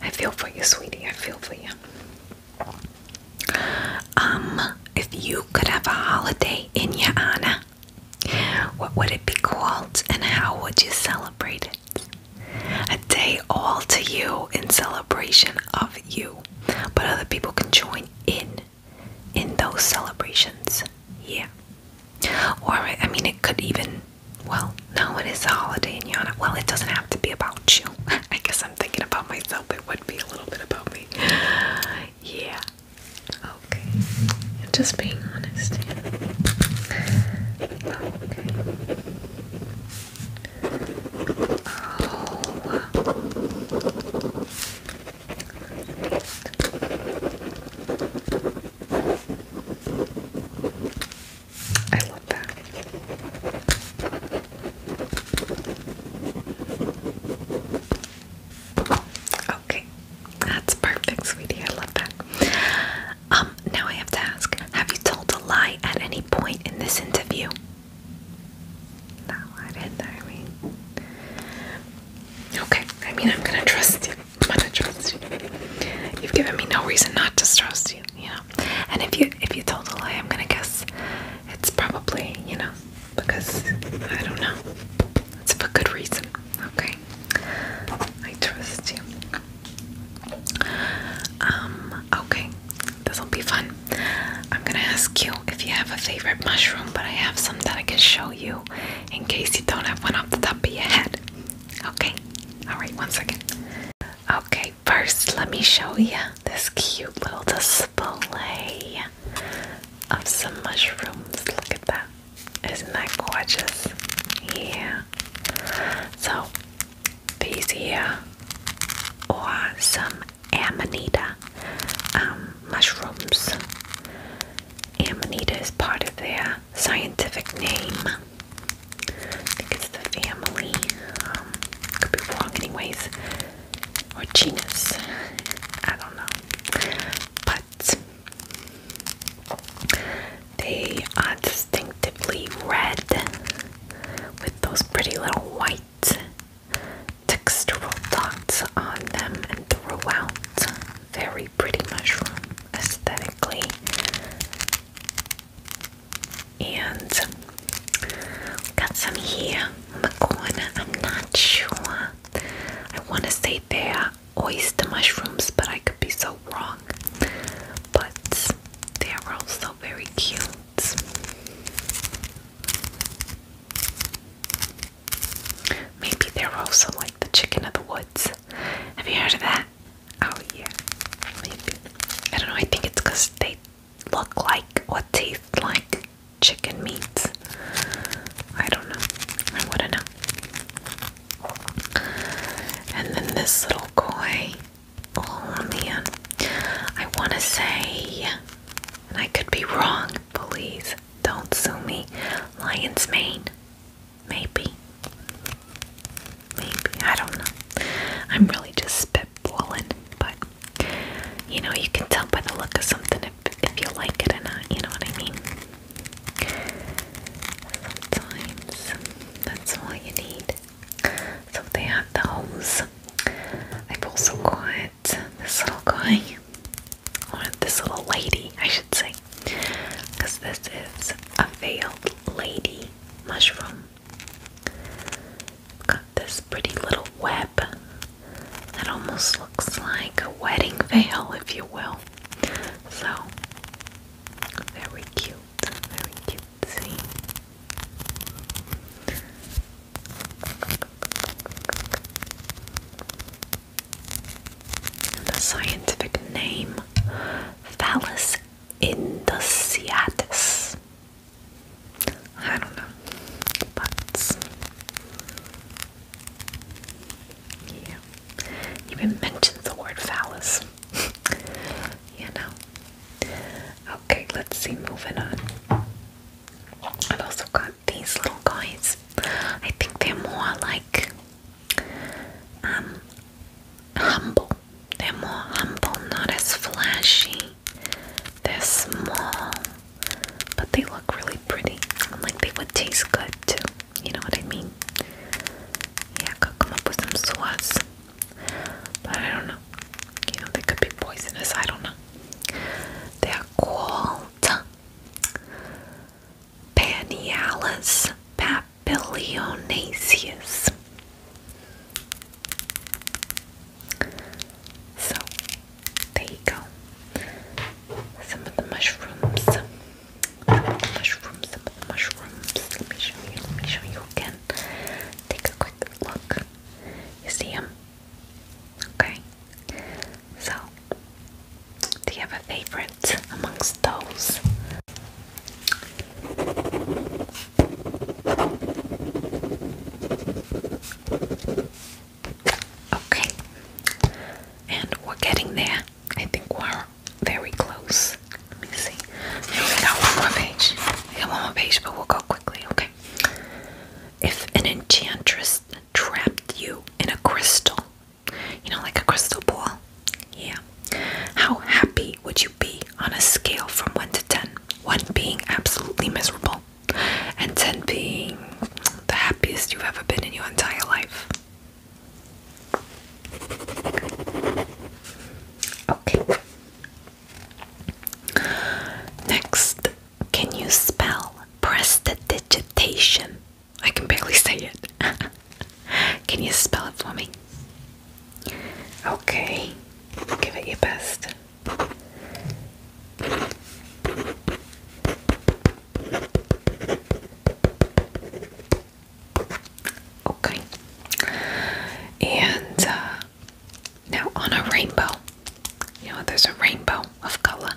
Speaker 1: I feel for you, sweetie. I feel for you. Um, if you could have a holiday in your honor, what would it be called and how would you celebrate it? A day all to you in celebration of you. But other people can join in in those celebrations. Yeah. Or I mean it could even well, now it is a holiday in Yana. Well, it doesn't have to be about you. I guess I'm thinking about myself. It would be a little bit about me. Yeah. Okay. Just being honest. Okay. I love that. Okay, that's perfect, sweetie. I love that. Um, now I have to ask, have you told a lie at any point in this interview? No, I didn't, I mean. Okay, I mean, I'm gonna trust you. I'm gonna trust you. You've given me no reason not to trust you, you know? And if you, if you told a lie, I'm gonna guess it's probably, you know, because, I don't know. It's for good reason, okay? I trust you. Um, okay, this'll be fun. I'm gonna ask you if you have a favorite mushroom, but I have some that I can show you in case you don't have one off the top of your head. Okay, alright, one second. Okay, first let me show you this cute little display of some mushrooms. Look at that. Isn't that gorgeous? Yeah. So these here, or some amanita um, mushrooms. Amanita is part of their scientific name. I think it's the family. Um, could be wrong, anyways. Or genus. I don't know. But they are distinctively red with those pretty little white textural dots on them and throughout. Very pretty mushroom aesthetically. And got some here in the corner. I'm not sure. I want to say they're oyster mushrooms, but I could be so wrong. But they are all also very cute. Maybe they're also like the chicken of the woods. Have you heard of that? Oh yeah, maybe. I don't know. I think it's because they look like or taste like chicken meat. I don't know. I wouldn't know. And then this little koi. Oh man, I want to say, and I could be wrong, please don't sue me. Lion's Mane, maybe, maybe, I don't know. I'm really just spitballing, but you know, you can tell by the look of something if, if you like it or not, you know what I mean? Sometimes that's all you need. So they have those. I've also got this little guy, or this little lady, I should say, because this is a veiled lady mushroom. Got this pretty little web that almost looks like a wedding veil, if you will. So, very cute, very cute. The scientific name Phallus indusiatus. I don't know, but yeah, even mentions the word phallus. you know. Okay, let's see, moving on. I've also got these little guys. I think they're more like um, humble. They're more humble, not as flashy. They're small, but they look really pretty. like they would taste good too. You know what I mean? Yeah, I could come some sauce. But I don't know. You know, they could be poisonous. I don't know. They are called Panialis papilionaceus. So, there you go. Some of the mushrooms. Some of the mushrooms, some of the mushrooms. Let me show you, let me show you again. Take a quick look. You see him? Okay. So, do you have a favorite amongst those? Okay. And we're getting there. I think we're very close. Let me see. We got one more page. We got one more page, but we'll go quickly, okay? If an enchantress trapped you in a crystal, you know, like a crystal ball, yeah. How happy would you be on a scale from 1 to ten, one being absolutely miserable, and 10 being the happiest you've ever been in your entire life. Okay. Next, can you spell prestidigitation? I can barely say it. can you spell it for me? Okay, give it your best. Okay. And uh, now on a rainbow, you know, there's a rainbow of color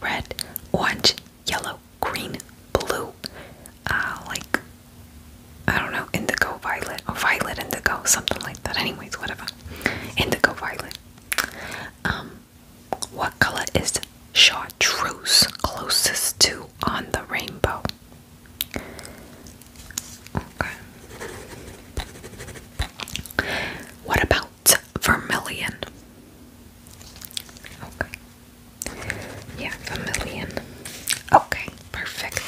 Speaker 1: red, orange, yellow, green, blue, uh, like, I don't know, indigo, violet, or violet, indigo, something like that. Anyways, whatever. Indigo, violet. Um, what color is chartreuse closest to on the rainbow? What about vermilion? Okay. Yeah, vermilion. Okay, perfect.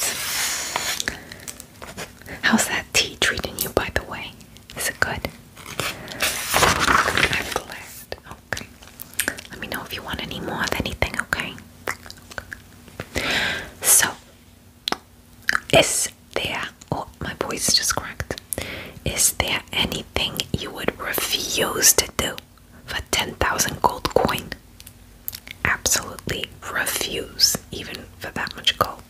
Speaker 1: How's that tea treating you, by the way? Is it good? I'm glad. Okay. Let me know if you want any more of anything, okay. So, is there, oh, my voice just cracked. Is there anything you would refuse to do for 10,000 gold coin? Absolutely refuse, even for that much gold.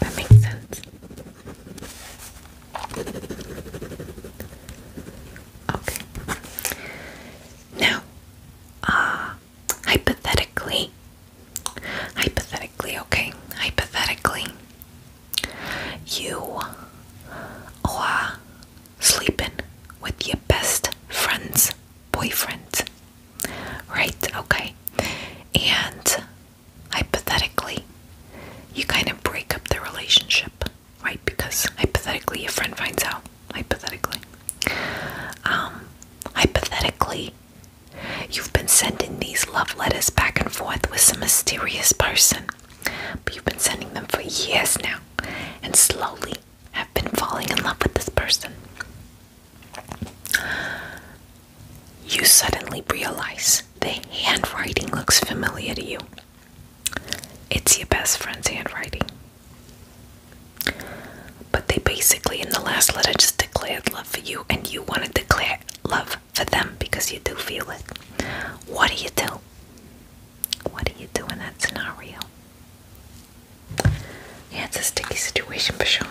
Speaker 1: That makes sense. Okay. Now, uh, hypothetically, hypothetically, okay, hypothetically, you are sleeping with your best friend's boyfriend, right? Okay, and hypothetically, you kind of break up the relationship right? Because hypothetically, a friend finds out. Hypothetically. Um, hypothetically, you've been sending these love letters back and forth with some mysterious person, but you've been sending them for years now and slowly have been falling in love with this person. You suddenly realize the handwriting looks familiar to you. It's your best friend's handwriting. But they basically, in the last letter, just declared love for you, and you want to declare love for them because you do feel it. What do you do? What do you do in that scenario? Yeah, it's a sticky situation for sure.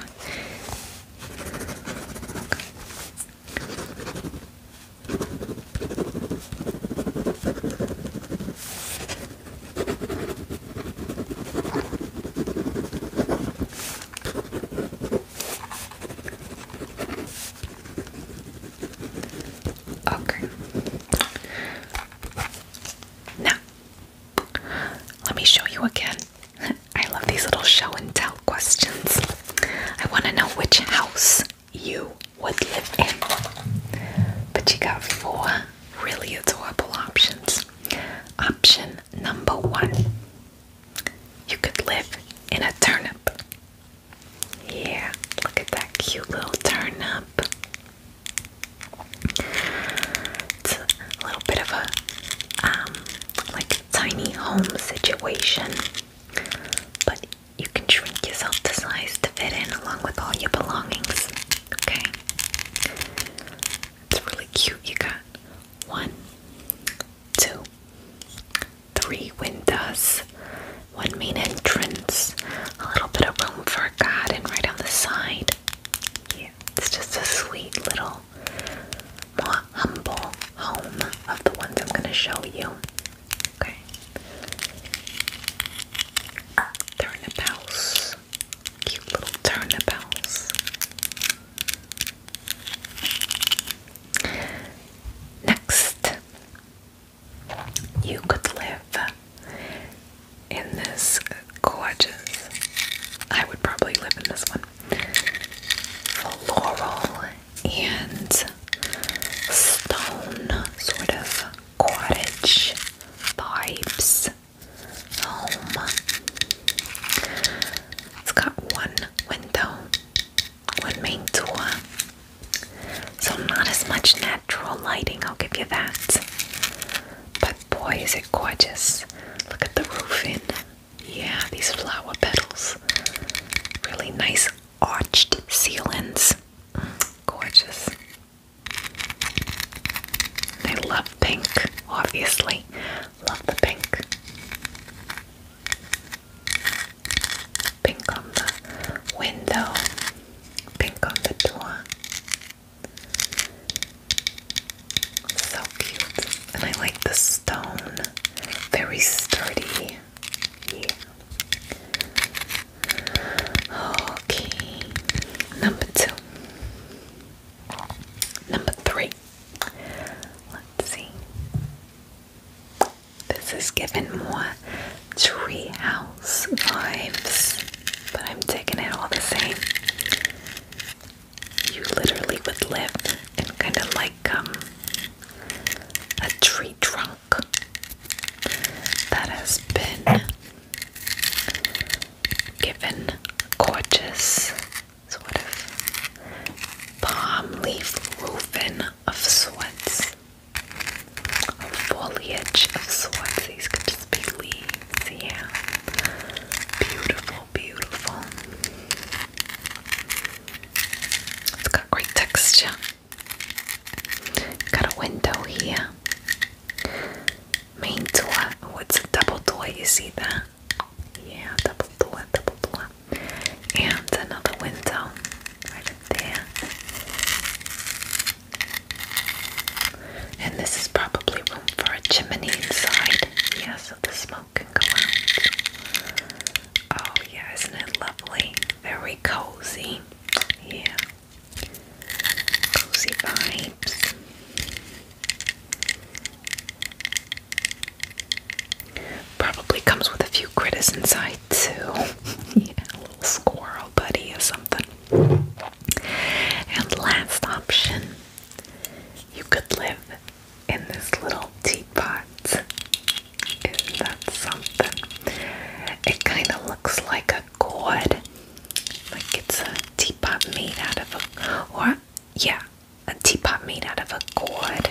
Speaker 1: Okay. Now, let me show you again. I love these little show and tell questions. I want to know which house you would live in. But you got four really adorable options. Option number one you could live in a turnip. Yeah, look at that cute little turnip. It's a little bit of a um, like tiny home situation, but you can shrink yourself to size to fit in along with all your belongings. Okay? It's really cute. You got one, two, three windows, one main entrance, a little bit of room for a garden right on the side. Yeah, it's just a sweet little, more humble home of the ones I'm going to show you. Okay. Ah, turnabouts. Cute little turnabouts. Next, you could live in this gorgeous. I would probably live in this one. Floral and stone sort of cottage vibes home. It's got one window, one main door, so not as much natural lighting, I'll give you that. But boy, is it gorgeous! Look at the roofing. Yeah, these flower petals. Really nice arched ceilings. Gorgeous. They love pink, obviously. Love the pink. Pink on the window, pink on the door. So cute. And I like the stone. Very sturdy. Yeah. Okay. Number two. Number three. Let's see. This is giving more treehouse vibes, but I'm taking it all the same. You literally would live in kind of like um, a tree trunk that has been given gorgeous sort of palm leaf roofing of sorts, foliage of sorts. These could just be leaves, yeah. Beautiful, beautiful. It's got great texture. Got a window here. Main door. What's oh, a double door. You see that? Yeah, double door, double door. And another window right there. And this is probably room for a chimney inside. Yeah, so the smoke can go out. Oh, yeah, isn't it lovely? Very cozy. Yeah. Cozy vibes. Probably comes with a few critters inside too. a little squirrel buddy or something. And last option, you could live in this little teapot that something? It kind of looks like a gourd, like it's a teapot made out of a, or yeah, a teapot made out of a gourd.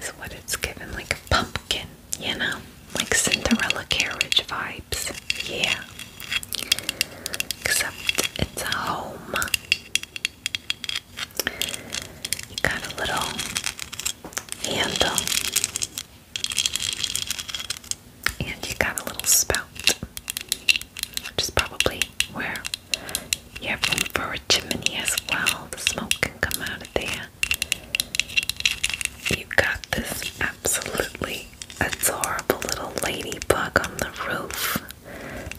Speaker 1: Is what it's given, like a pumpkin, you know, like Cinderella carriage vibes. Yeah, except it's a home. You got a little handle, and you got a little spout, which is probably where you have room for a chimney as well. The smoke can come out of there. You have got this absolutely adorable little ladybug on the roof,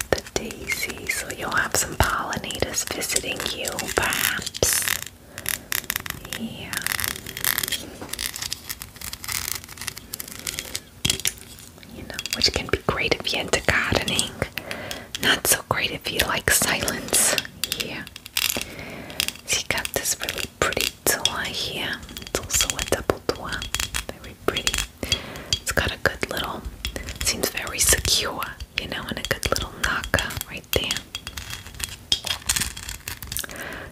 Speaker 1: the daisy, so you'll have some pollinators visiting you, perhaps. Yeah. You know, which can be great if you're into gardening. Not so great if you like silence. Yeah. She got this really pretty door here. It's also a double door. Very pretty. It's got a good little, seems very secure, you know, and a good little knock right there.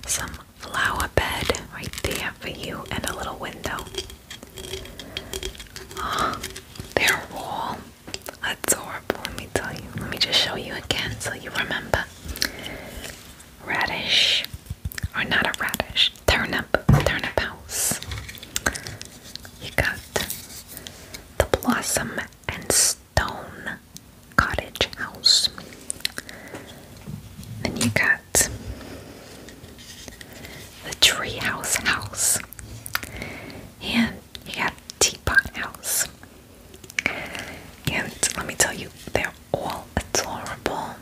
Speaker 1: Some flower bed right there for you and a little window. Ah, their wall. Adorable, let me tell you. Let me just show you again so you remember. Radish. Or not a radish. Turnip. Turnip house. You got the blossom and stone cottage house. Then you got the treehouse house. And you got teapot house. And let me tell you, they're all adorable.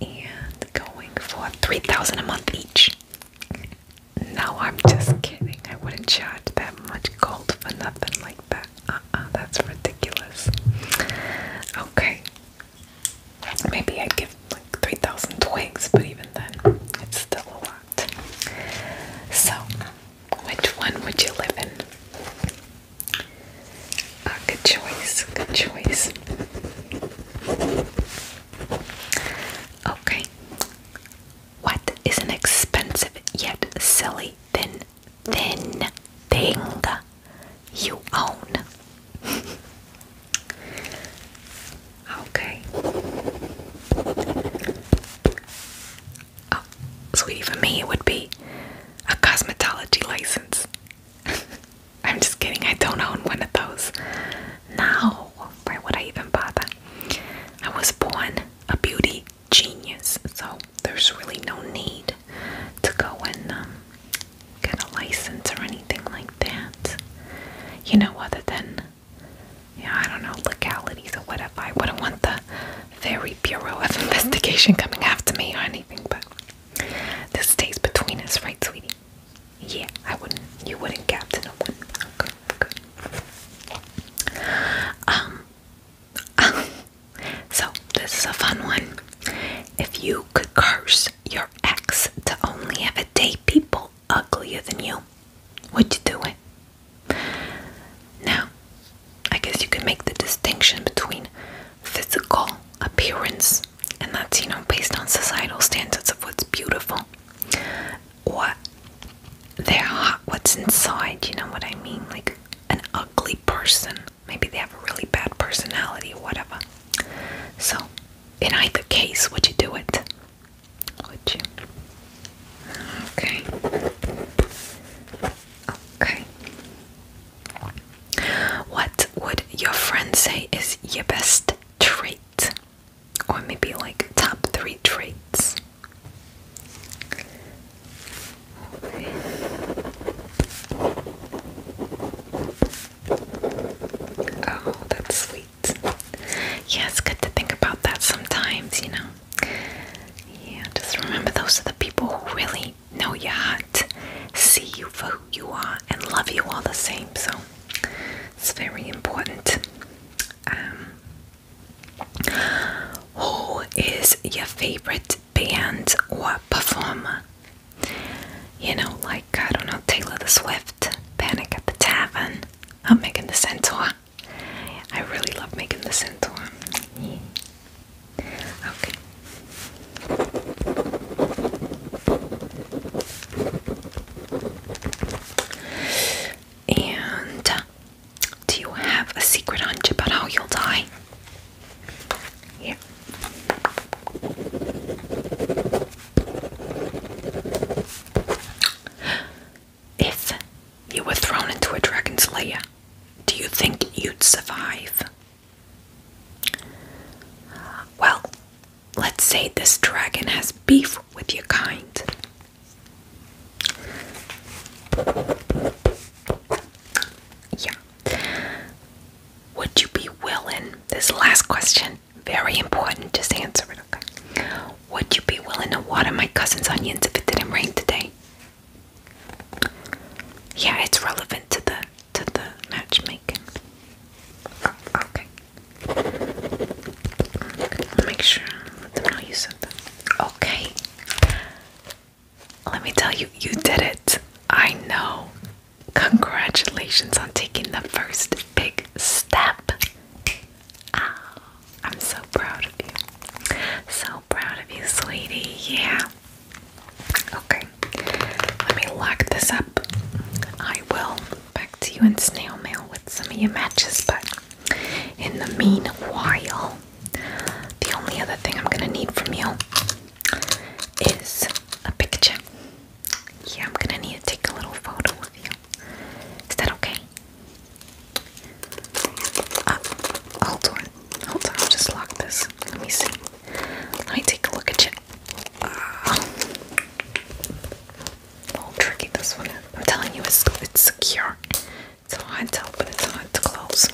Speaker 1: And going for 3000 a month each. No, I'm just kidding. I wouldn't charge that much gold for nothing like that. Uh uh, that's ridiculous. Okay. Maybe I'd give like 3,000 twigs, but even then, it's still a lot. So, which one would you live in? Uh, good choice, good choice. Okay, what is an expensive yet silly thin thin thing you own? okay. Oh, sweetie, for me it would be a cosmetology license. I'm just kidding, I don't own one of those. Now, why would I even bother? I was born a beauty genius, so there's really no need to go and um, get a license or anything like that. You know, other than yeah, I don't know legalities or whatever. I wouldn't want the very Bureau of Investigation coming after me or anything, but this stays between us, right, sweetie? Yeah, I wouldn't. You wouldn't, Captain. I wouldn't. Um, so this is a fun one. If you could curse your ex to only ever date people uglier than you, would you do it? Now, I guess you can make the distinction between physical appearance, and that's you know based on societal standards of what's beautiful, or they're what's inside you know what i mean like an ugly person maybe they have a really bad personality or whatever so in either case would you do it would you okay okay what would your friend say is your best trait or maybe like top three traits. Oh, that's sweet. Yeah, it's good to think about that sometimes, you know. Yeah, just remember those are the people who really know your heart, see you for who you are, and love you all the same. So it's very important. Um, who is your favorite band or performer? You know, like, I don't know, Taylor the Swift, Panic at the Tavern, I'm making the centaur. I really love making the centaur. Okay. And do you have a secret hunch about how you'll die? Yeah. If you were thrown into a dragon's lair, do you think you'd survive? Well, let's say this dragon has beef with your kind. Yeah. Would you be willing? This last question, very important, just answer it, okay? Would you be willing to water my cousin's onions if it didn't rain today? Yeah, it's relevant to the to the matchmaking. okay. Make sure let know you said that. Okay. Let me tell you, you did it. I know. Congratulations on taking the first big step. Ah, I'm so proud of you. So proud of you, sweetie. Yeah. Okay. Let me lock this up. I will back to you in snail mail with some of your matches, but in the meanwhile, the only other thing I'm gonna need from you is a picture. Yeah, I'm gonna need to take a little photo with you. Is that okay? Uh, hold on, hold on, I'll just lock this. Let me see. Let me take a look at you. Uh, a little tricky this one. I'm telling you, it's it's secure. It's a hard to open, it's hard to close.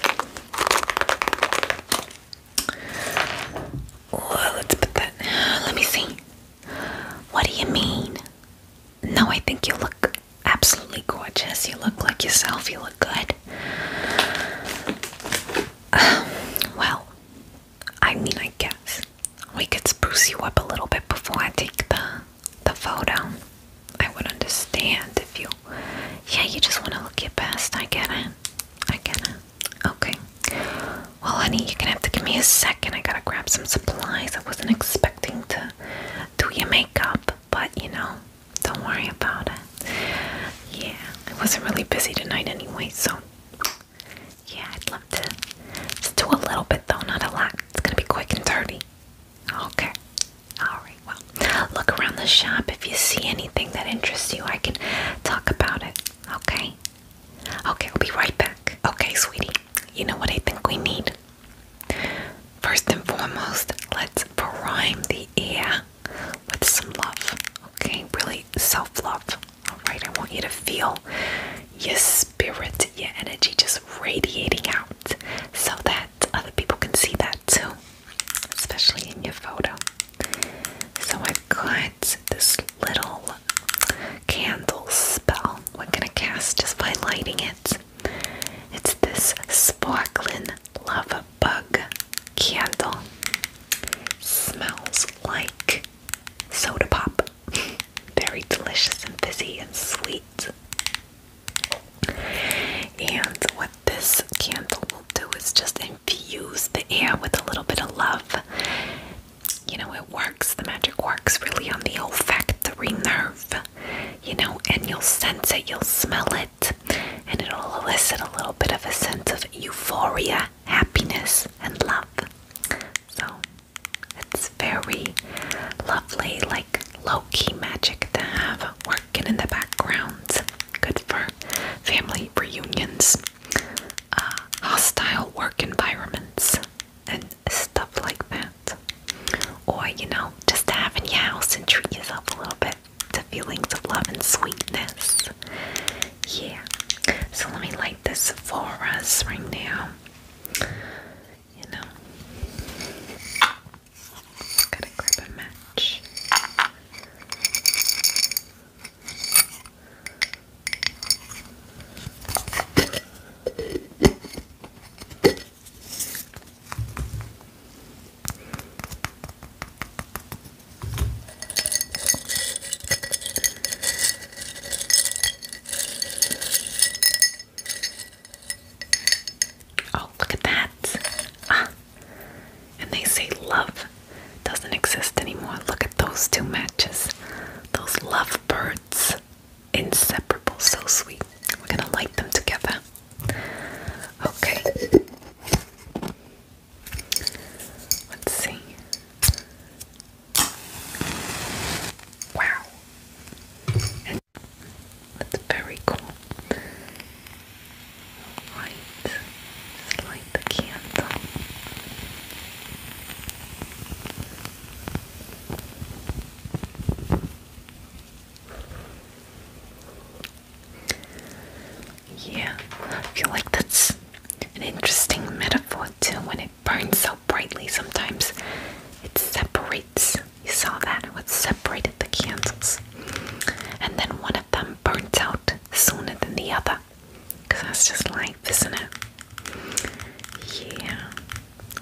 Speaker 1: let's put that. Let me see. What do you mean? No, I think you look absolutely gorgeous. You look like yourself. You look good. Um, well, I mean, I guess we could spruce you up a little bit before I take the the photo. I would understand if you. Yeah, you just want to look your best. I get it. I get it. Okay. Well, honey, you're gonna have to give me a second. I gotta grab some supplies. I wasn't expecting to do your makeup, but you know, don't worry about it. Yeah, I wasn't really busy tonight anyway, so yeah, I'd love to. do a little bit though, not a lot. It's gonna be quick and dirty. Okay. Alright, well, look around the shop. If you see anything that interests you, I can talk about it. Okay? Okay, I'll be right back. Okay, sweetie. You know what I think we need? First and foremost, let's prime the air with some love. Okay? Really self love. Alright, I want you to feel your spirit, your energy just radiating out so that other people can see that too, especially in your photo. So I've got this little candle spell we're gonna cast just by lighting it. It's this sparkling love bug candle. Smells like soda pop. Very delicious and fizzy and sweet. And what this candle will do is just infuse the air with a little bit of love. You know, it works, the magic works really on the olfactory nerve, you know, and you'll sense it, you'll smell it, and it'll elicit a little bit of a sense of euphoria, happiness, and love. So, it's very lovely, like low key magic to have working in the background. Good for family reunions, uh, hostile work environments, and stuff like that. Or, you know, just to have in your house and treat yourself a little bit to feelings of love and sweetness. Yeah. So let me light this for us right now you know. Gotta grab a match. Oh, look at that. Ah. And they say love doesn't exist anymore. Look at those two matches. Those love birds. Inseparable, so sweet. We're gonna light them together. Okay. Let's see. Wow. That's very cool. Right, light the candle. Yeah, I feel like that's an interesting metaphor too. When it burns so brightly, sometimes it separates you saw that it separated the candles, and then one of them burnt out sooner than the other. Cause that's just life, isn't it? Yeah.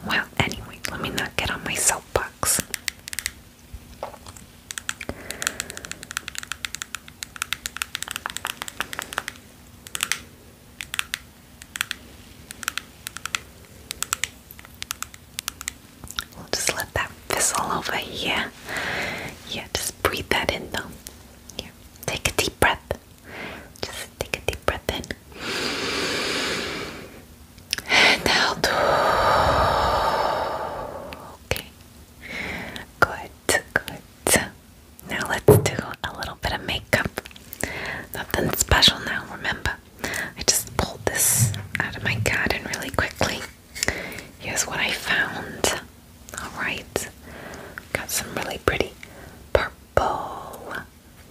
Speaker 1: Well, anyway, let me not get on my soapbox. We'll just let that fizzle over here. Yeah, just breathe that in though. Yeah, take a deep breath. Just take a deep breath in. And out. Okay. Good, good. Now let's do a little bit of makeup. Nothing special now, remember. I just pulled this out of my garden really quickly. Here's what I found. Alright, got some really pretty purple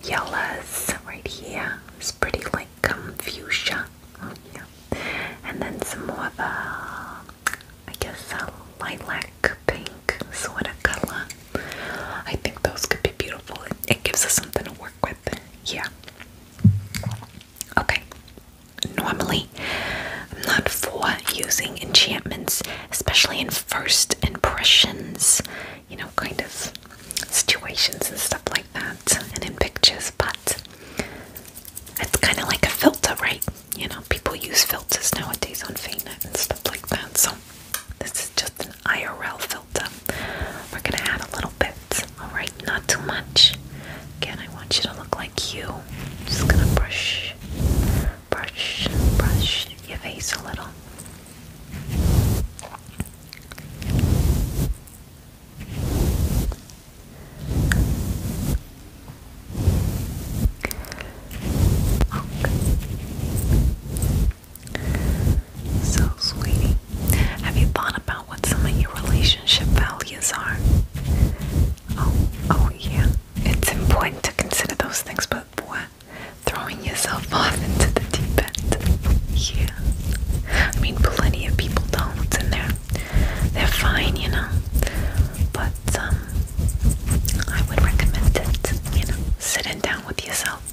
Speaker 1: yellows right here. It's pretty like um, fuchsia. Oh, yeah. And then some more of a, I guess, a lilac pink sort of color. I think those could be beautiful. It, it gives us something to work yeah. Okay. Normally, I'm not for using enchantments, especially in first impressions, you know, kind of situations and stuff like that, and in pictures, but it's kind of like a filter, right? You know, people use filters nowadays on Fainet and stuff like that, so this is just an IRL filter filter. We're gonna add a little bit, alright? Not too much. Again, I want you to look like you. Just gonna brush, brush, brush your face a little. Okay. So, sweetie, have you thought about what some of your relationship values are? Oh, oh, yeah. It's important to consider those things, but boy, Throwing yourself off into the deep end. Yeah. I mean, plenty of people don't, and they're, they're fine, you know. But, um, I would recommend it, you know, sitting down with yourself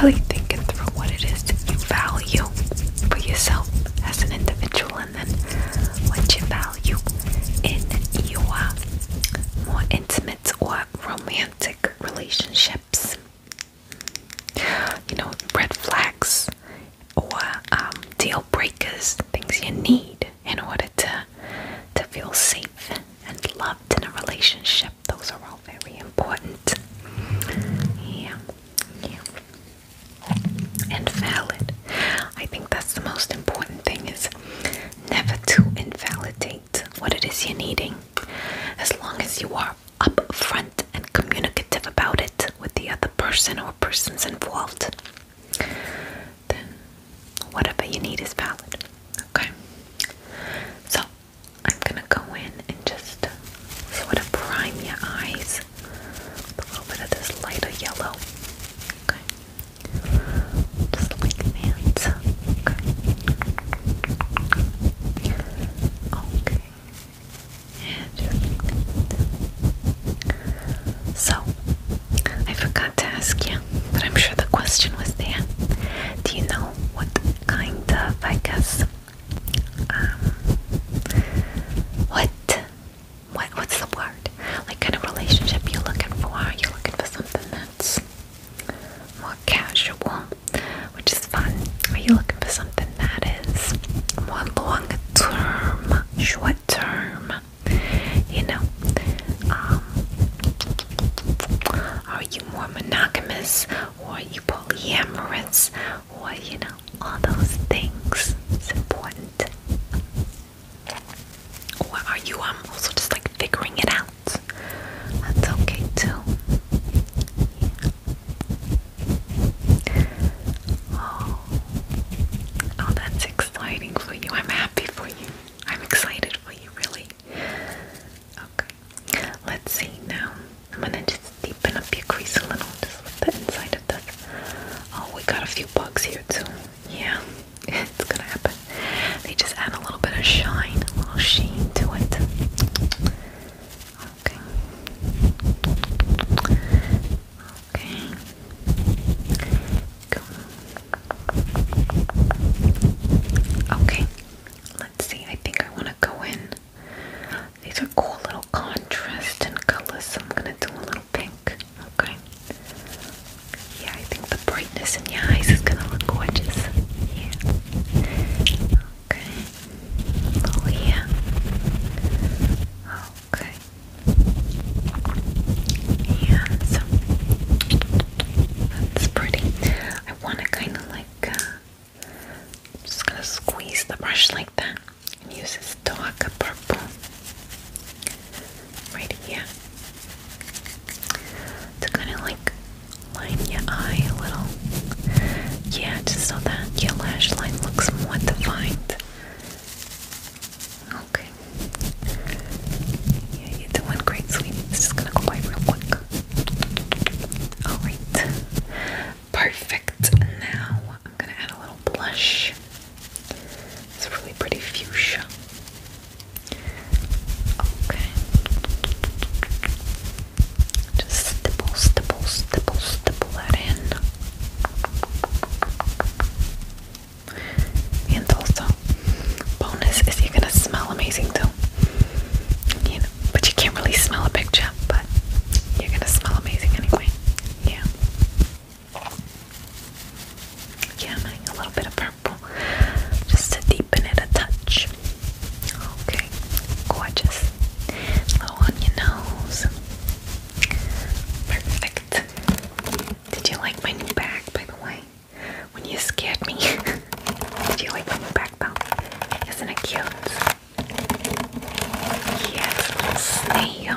Speaker 1: Really thinking through what it is that you value for yourself as an individual and then what you value in your more intimate or romantic relationships. You know, red flags or um, deal breakers, things you need in order to to feel safe and loved in a relationship. Those are all very important. Yeah, yeah. And valid. I think that's the most important thing is never to invalidate what it is you're needing. As long as you are upfront and communicative about it with the other person or persons involved, then whatever you need is valid. Okay? So I'm gonna go in and just sort of prime your eyes with a little bit of this lighter yellow. Okay. Just like that. Okay. Okay. So, I forgot to ask you, but I'm sure the question was there. Do you know what kind of, I um, what, what, what's the word? Like kind of relationship you looking for? you looking for something that's more casual, which is fun. Are you looking for something that is more long term, short term? You know, um, are you more monogamous? or you polyamorous, or you know, all those things. It's important. Or are you um also just like figuring it out? That's okay too. Oh. oh, that's exciting for you. I'm happy for you. I'm excited for you, really. Okay, let's see now. I'm gonna just deepen up your crease a little, just with the inside of this. Oh, we got a few bugs here too. Yeah, it's gonna happen. They just add a little bit of shine, a little sheen to it. Okay. Okay. Go. Okay. Let's see. I think I want to go in these are cool little contrast and colors, so I'm gonna do a little pink. Okay. Yeah, I think the brightness in your eyes is gonna look gorgeous. Okay. Oh yeah. Okay. Yeah, so that's pretty. I wanna kinda like uh, I'm just gonna squeeze the brush like that and use this dark purple right here to kind of like line your eye a little. Yeah, just so that your lash line looks more defined. Okay. Yeah, you're doing great, sweetie. It's just gonna go by real quick. Alright, perfect. Now I'm gonna add a little blush. It's really pretty fuchsia. Okay. Just stipple, stipple, stipple, stipple that in. And also, bonus is you're gonna smell amazing too you know, but you can't really smell a picture, but you're gonna smell amazing anyway. Yeah. Yeah, I'm adding a little bit of purple just to deepen it a touch. Okay, gorgeous. A on your nose. Perfect. Did you like my new bag, by the way? When you scared me. Did you like my new bag, though? Isn't it cute? Yes, snail.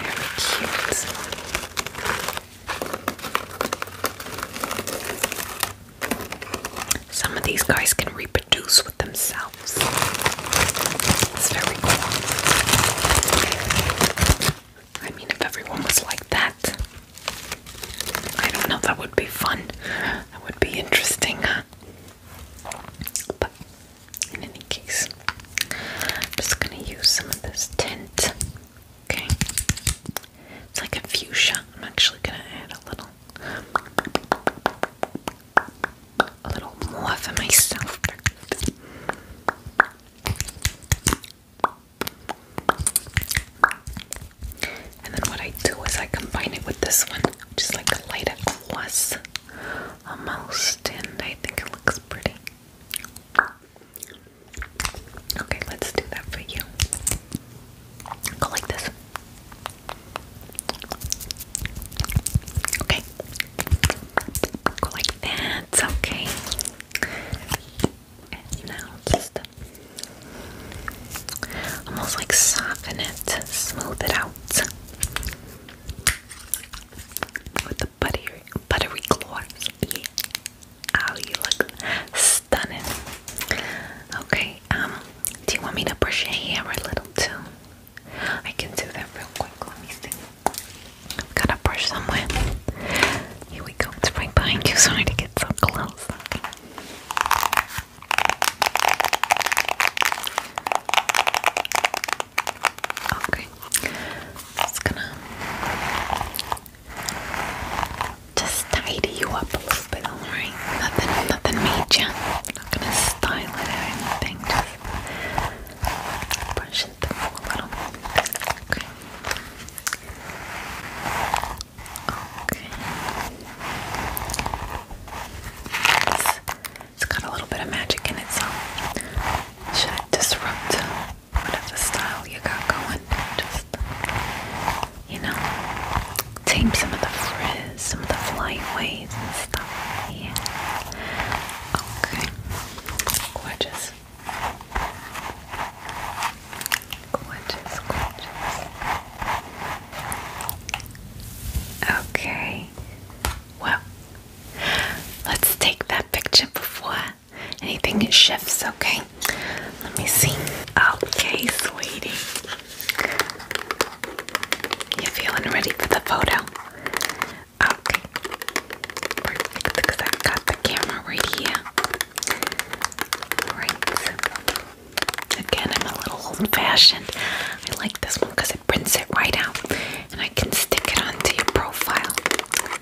Speaker 1: Very cute. Some of these guys can reproduce with themselves. It's very cool. I mean, if everyone was like that, I don't know, that would be fun. That would be interesting. But in any case, I'm just gonna use some of this tint. Okay. It's like a fuchsia. I'm actually gonna add a little a little more for myself. And then what I do is I combine it with this one, just is like a lighter gloss almost, and I think it looks pretty. Okay, let's do that for you. Go like this. Okay. Go like that. Okay. And now just almost like soften it, smooth it out with the buttery, buttery claws. Oh, you look stunning. Okay, um, do you want me to brush your hair a little too? I can do that real quick. Let me see. got a brush somewhere. Here we go. It's right behind you. Sorry to get so close. Okay, just gonna just tidy you up a little bit, alright? Nothing, nothing major. Not gonna style it or anything. Just brush it a little. Okay. Okay. it's got a little bit of magic in itself. so should it disrupt whatever style you got going? Just, you know, tame some of the frizz, some of the flyaways and stuff. Yeah. Okay. Gorgeous. Okay. Well, let's take that picture before anything shifts, okay? Let me see. Okay, sweetie. You feeling ready for the photo? Okay. Perfect, because i got the camera right here. Again, I'm a little old fashioned. I like this one because it prints it right out and I can stick it onto your profile.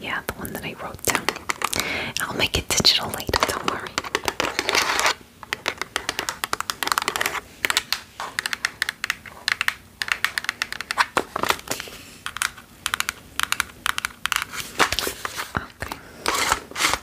Speaker 1: Yeah, the one that I wrote down. I'll make it digital later, don't worry. Okay.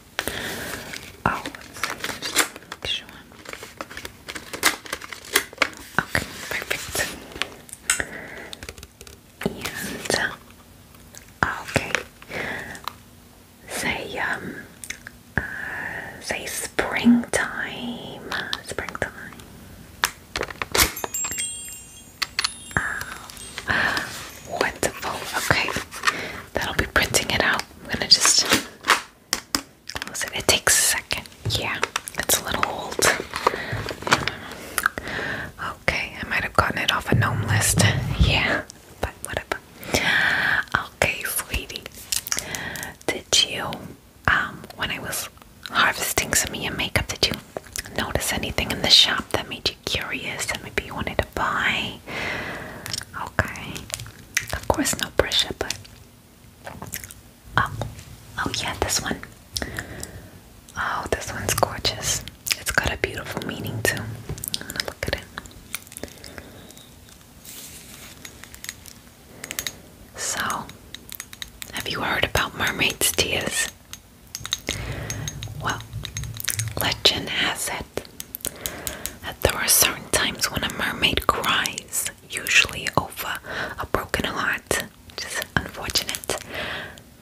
Speaker 1: Oh, okay, perfect. And uh, okay, say um, uh, say springtime, springtime. Uh, Wonderful. Okay, that'll be printing it out. I'm gonna just close it. It takes a second. Yeah, it's a little old. Okay, I might have gotten it off a gnome list. Yeah, but whatever. Okay, sweetie. Did you, um, when I was harvesting some of your makeup, did you notice anything in the shop that made you? curious and maybe you wanted to buy. Okay. Of course, no pressure, but. Oh, oh yeah, this one. Oh, this one's gorgeous. It's got a beautiful meaning, too. I'm gonna look at it. So, have you heard about mermaids' tears? Well, legend has it there are certain times when a mermaid cries, usually over a broken heart, which is unfortunate.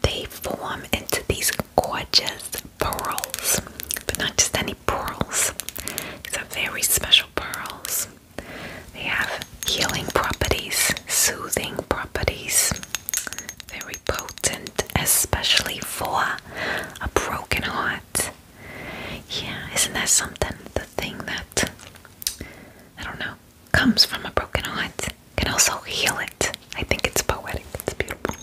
Speaker 1: They form into these gorgeous pearls, but not just any pearls, these are very special pearls. They have healing properties, soothing properties, very potent, especially for a broken heart. Yeah, isn't that something? The thing that I don't know comes from a broken heart can also heal it. I think it's poetic, it's beautiful.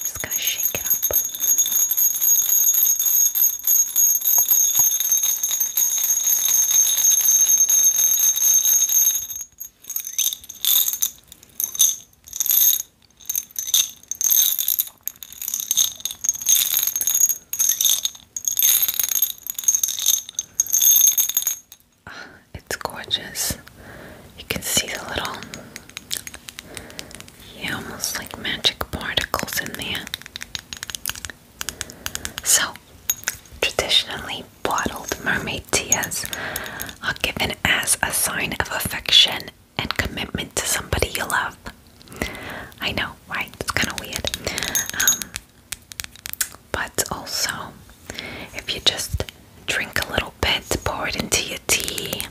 Speaker 1: just gonna shake it up. It's gorgeous. You can see the little, yeah, almost like magic particles in there. So, traditionally, bottled mermaid tears are given as a sign of affection and commitment to somebody you love. I know, right? It's kind of weird. Um, but also, if you just drink a little bit, pour it into your tea,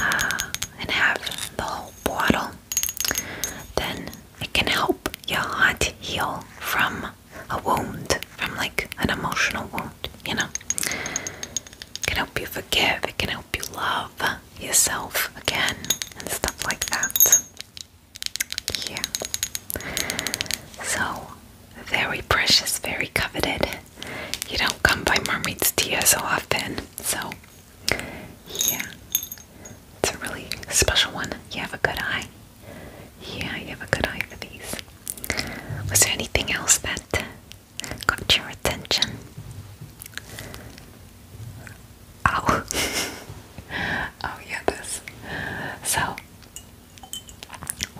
Speaker 1: uh, and have the whole bottle, then it can help your heart heal from a wound from like an emotional wound, you know. It can help you forgive, it can help you love yourself again and stuff like that. Yeah. So very precious, very coveted. You don't come by mermaid's tears so often. So yeah. It's a really special one. You have a good eye. Yeah, you have a good eye for these. Was there anything else that got your attention? Oh, oh yeah, this. So,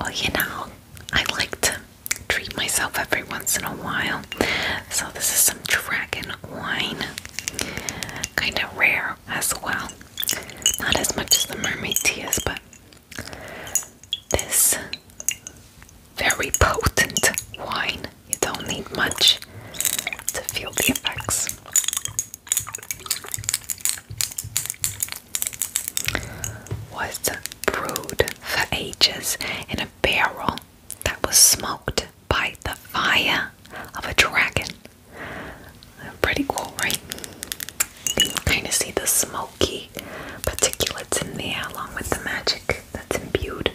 Speaker 1: well, you know, I like to treat myself every once in a while. So this is some dragon wine, kind of rare as well. Not as much as the mermaid tea is, but this very potent wine. You don't need much to feel the effects. Was brewed for ages in a barrel that was smoked by the fire of a dragon. Pretty cool, right? You kind of see the smoky particulates in the air along with the magic that's imbued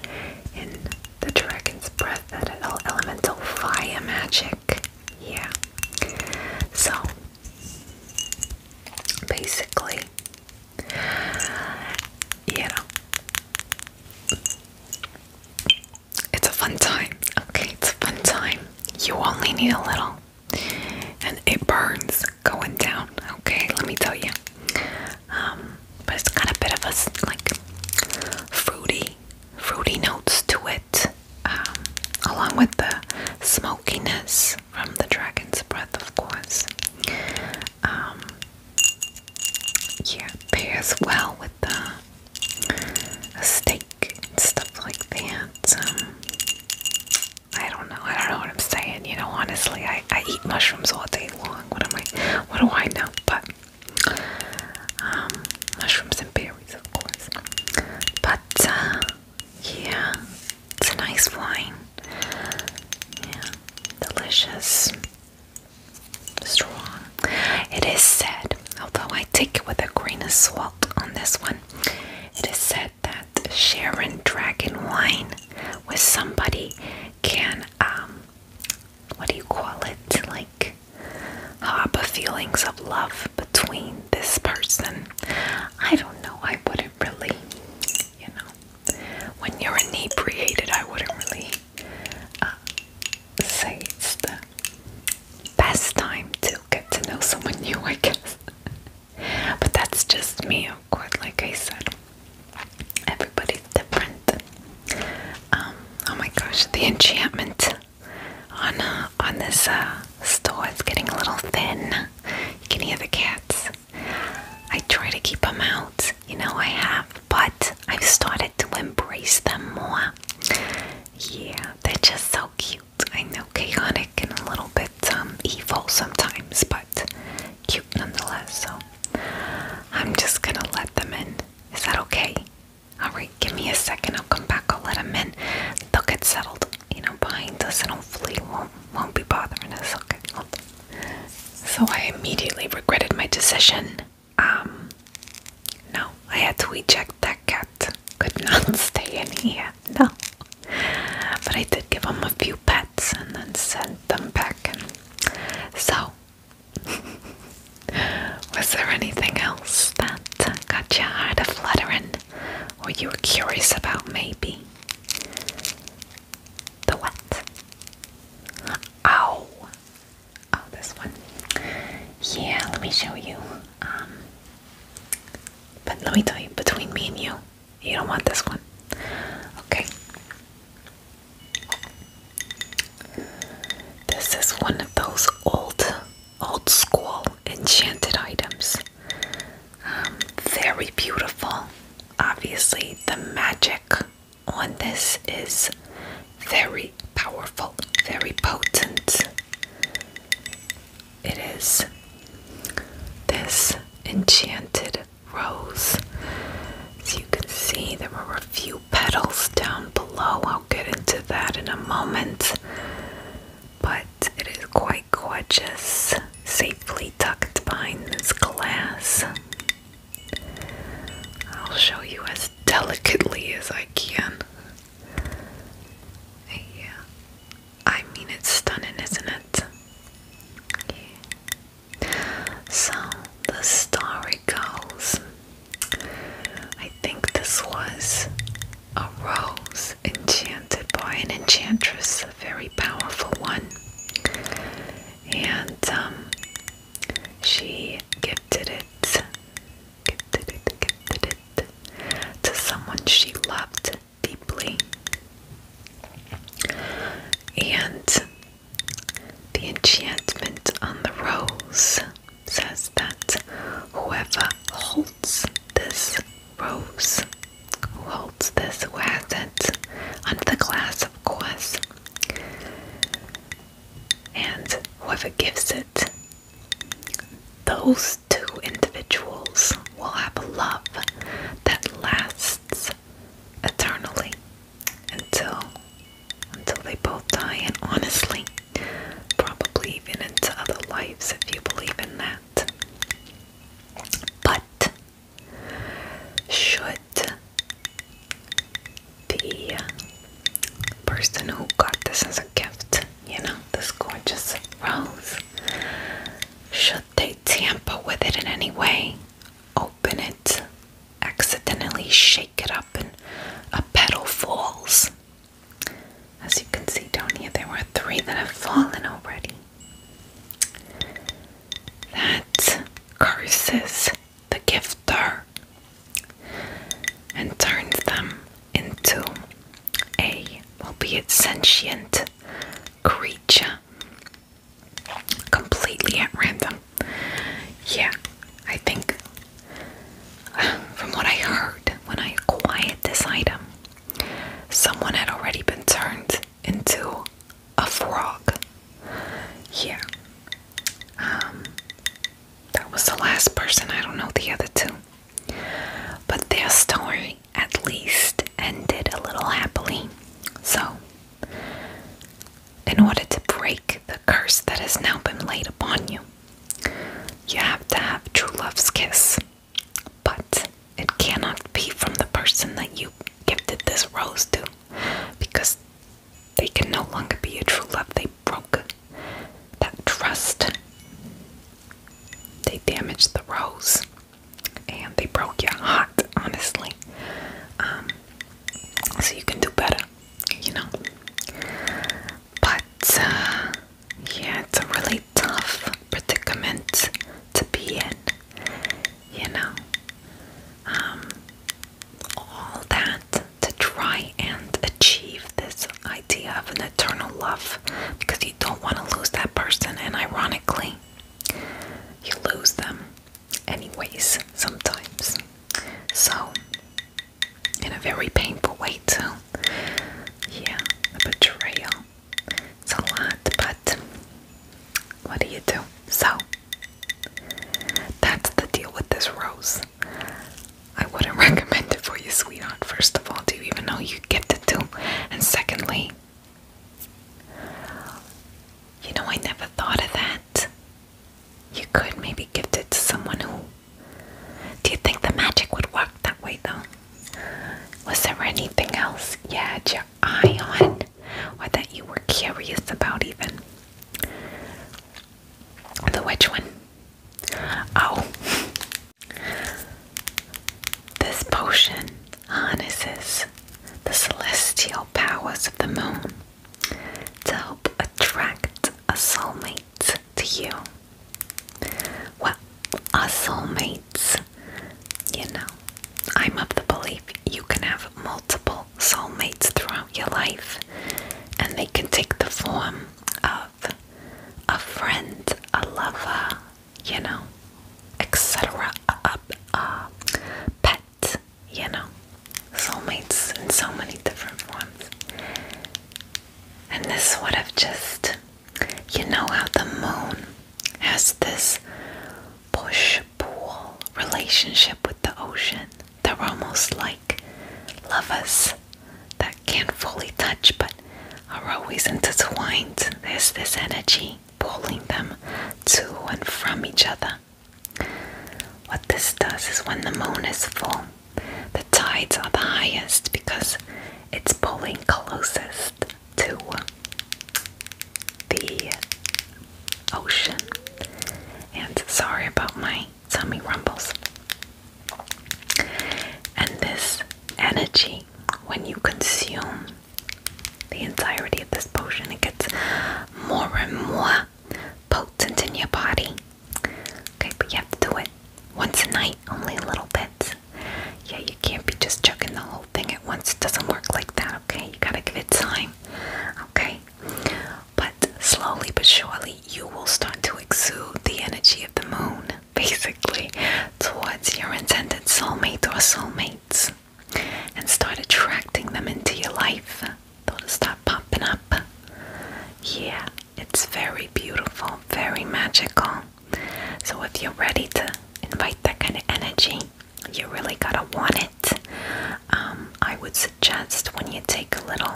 Speaker 1: in the dragon's breath, that elemental fire magic. Yeah. So, basically, you know, it's a fun time. Okay, it's a fun time. You only need a little and it burns going down. Okay, let me tell you. Um, but it's got a bit of a like fruity, fruity notes to it, um, along with the smokiness from the dragon's breath, of course. Um, yeah, pairs well with the steak and stuff like that. Um, I don't know. I don't know what I'm saying. You know, honestly, I, I eat mushrooms all day long. What am I? What do I know? But um, mushrooms and berries, of course. But uh, yeah, it's a nice wine. Yeah, delicious, strong. It is said, although I take it with a grain of salt on this one. It is said that sharing dragon wine with somebody can, um, what do you call it? Like, harbor feelings of love between this person. I don't know, I wouldn't really, you know, when you're inebriated, I wouldn't really uh, say it's the best time to get to know someone new, I guess. But that's just me, of course, like I said. Everybody's different. Um, oh my gosh, the enchantment on uh, on this uh, store is getting a little thin. You can hear the cats. I try to keep them out, you know I have, but I've started to embrace them more. Yeah, they're just so cute. I know chaotic and a little bit um, evil sometimes, but cute nonetheless. So I'm just gonna let them in. Is that okay? Alright, give me a second. I'll come back. I'll let them in. They'll get settled, you know, behind us and hopefully won't, won't be bothering us. Okay, So I immediately regretted my decision. Um, no, I had to eject that cat. Could not stay in here no. But I did give him a few pets and then sent them back. So, was there anything else that got your heart a fluttering or you were curious about maybe? The what? Ow! Oh, this one. Yeah, let me show you. Um, but let me tell you, between me and you, you don't want this one. Okay. This is one of those old, old school enchanted items. Um, very beautiful. Obviously, the magic on this is very powerful, very potent. It is this enchanted rose. As you can see, there were a few petals down below. I'll get into that in a moment. But it is quite gorgeous, safely tucked behind this glass. I'll show you as delicately as I can. Yeah, I mean, it's stunning, isn't it? So the story goes I think this was a rose enchanted by an enchantress, a very powerful one. And um, she gifted it, gifted it, gifted it to someone she loved deeply. And the enchantment on the rose says that whoever holds this rose, holds this, who under the glass, of course, and whoever gives it, those two individuals will have a love that lasts eternally until until they both die and honestly probably even into other lives if you believe in that. But should the person who got this as a gift, you know, this gorgeous rose, should they tamper with it in any way, open it, accidentally shake it up, and a petal falls. As you can see down here, there were three that have fallen already. That curses the gifter and turns them into a, albeit sentient, creature completely at random. Yeah, I think from what I heard when I acquired this item, someone had already been turned into a frog. Yeah. Um that was the last person. I don't know the other two. But their story at least ended a little happily. So, in order to break the curse that has now been laid upon you, you have to have true love's kiss. But it cannot be from the person that you gifted this rose to because they can no longer be a true love. They broke that trust, they damaged the rose and they broke your heart, honestly. Um, so you can do better, you know. But uh, yeah, it's a really tough predicament to be in, you know. Um, all that to try and achieve this idea of an eternal love because you don't want to lose that person, and ironically, you lose them anyways sometimes. So, in a very painful way, too. Yeah, the betrayal. It's a lot, but what do you do? So, that's the deal with this rose. I wouldn't recommend it for you, sweetheart. First of all, do you even know you get to do? And secondly, you know, I never thought of that. You could maybe gift it to someone who. Do you think the magic would work that way though? Was there anything else you had your eye on or that you were curious about even? The which one? Oh, this potion harnesses the celestial powers of the moon to help attract a soulmate to you. Well, a soulmates, you know, I'm of the belief you can have multiple soulmates throughout your life, and they can take the form of a friend, a lover, you know, etc. Uh, uh, pet, you know, soulmates and so many different ones. And this would have just, you know, how the moon has this push pull relationship with the ocean. They're almost like lovers that can't fully touch but are always intertwined. There's this energy pulling them to and from each other. What this does is when the moon is full, the tides are the highest because it's pulling closest to the ocean. And sorry about my tummy rumbles. And this energy, when you consume the entirety of this potion. It gets more and more potent in your body. Okay, but you have to do it once a night, only a little bit. Yeah, you can't be just chucking the whole thing at once. It doesn't work like that, okay? You gotta give it time, okay? But slowly but surely, you will start to exude the energy of the moon basically towards your intended soulmate or soulmates and start attracting them into your life. they start popping up. Yeah, it's very beautiful, very magical. So if you're ready to invite that kind of energy, you really gotta want it. Um, I would suggest when you take a little,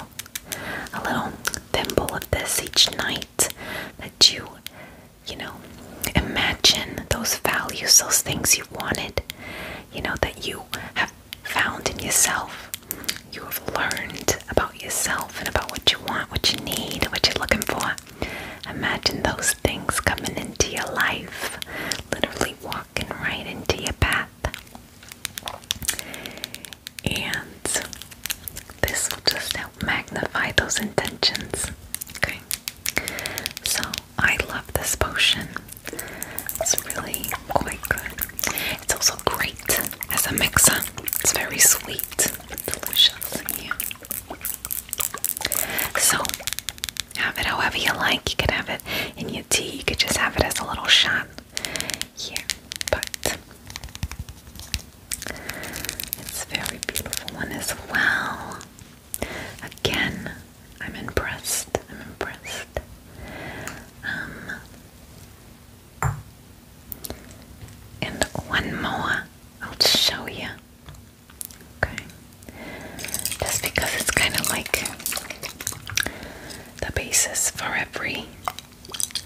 Speaker 1: a little thimble of this each night, that you you know, imagine those values, those things you wanted, you know, that you have found in yourself. You have learned about yourself and about what you want, what you need, what you're looking for. Imagine those things coming into your life, literally walking right into your path. And this will just help magnify those intentions. Okay. So I love this potion. It's really quite good. It's also great as a mixer. It's very sweet. Delicious. Yeah. So have it however you like. You can have it in your tea. You could just have it as a little shot here. But it's very beautiful one as well. Again, I'm impressed. I'm impressed. Um, and one more I'll show you. Okay. Just because it's kind of like the basis for every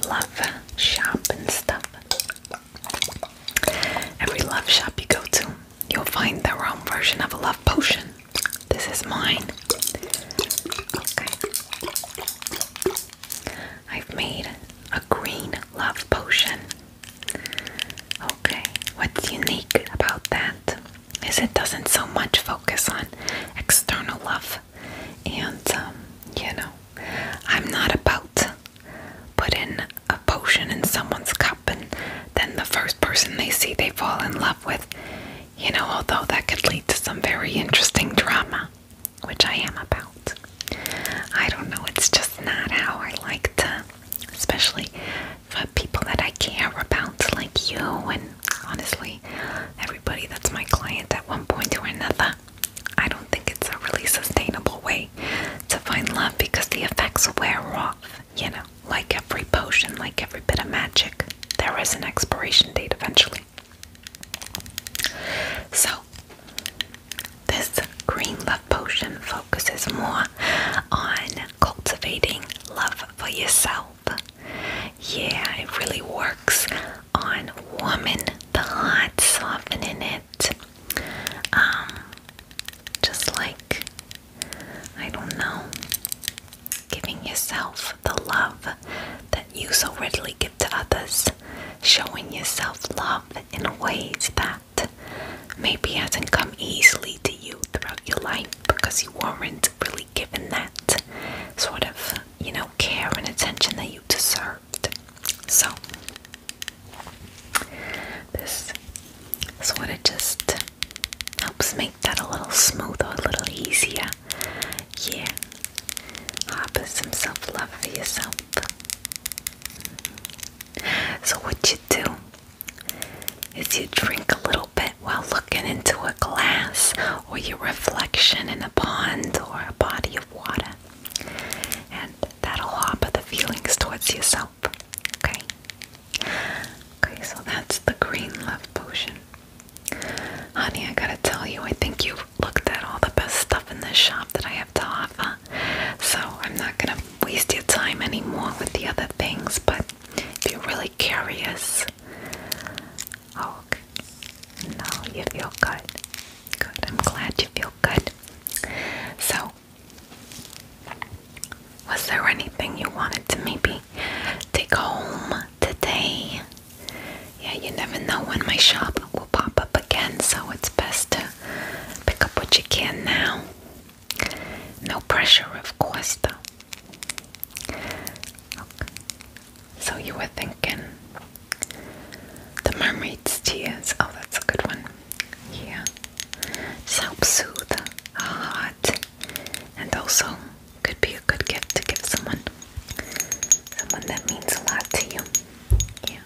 Speaker 1: love shop and stuff. Every love shop you go to, you'll find the wrong version of a love potion. This is mine. Okay. I've made a green love potion. Okay, what's unique about that is it doesn't so much focus on external love. And, um, you know, I'm not about put in a potion in someone's cup and then the first person they see they fall in love with. You know, although that could lead to some very interesting drama, which I am about. I don't know, it's just not how I like to, especially for people that I care about, like you, and honestly, everybody that's my client at one point or another. I don't I think it's a really sustainable way to find love because the effects wear off. You know, like every potion, like every bit of magic, there is an expiration date eventually. So, this green love potion focuses more on cultivating love for yourself. Yeah, it really works on warming the heart, softening it um, just like, I don't know, giving yourself the love that you so readily give to others, showing yourself love in ways that maybe hasn't come easily to you throughout your life because you weren't really given that sort of, you know, care and attention that you deserved. So, this sort of just helps make that a little smoother, a little easier. Yeah. Harbor ah, some self love for yourself. So, what you do is you drink a little bit while looking into a glass or your reflection in a pond or a body of water and that'll hop the feelings towards yourself. Okay. Okay, so that's the green love potion. Honey, I gotta tell you, I think you've looked at all the best stuff in this shop that I have to offer. So I'm not gonna waste your time anymore with the other things, but if you're really curious. Oh, okay. No, you feel good. Good, I'm glad you feel good. So was there anything you wanted to maybe take home today? Yeah, you never know when my shop will pop up again, so it's best to pick up what you can now. No pressure, of course, though. So you were thinking the mermaid's tears. Oh, that's a good one yeah, just help soothe a heart, and also could be a good gift to give someone, someone that means a lot to you, yeah.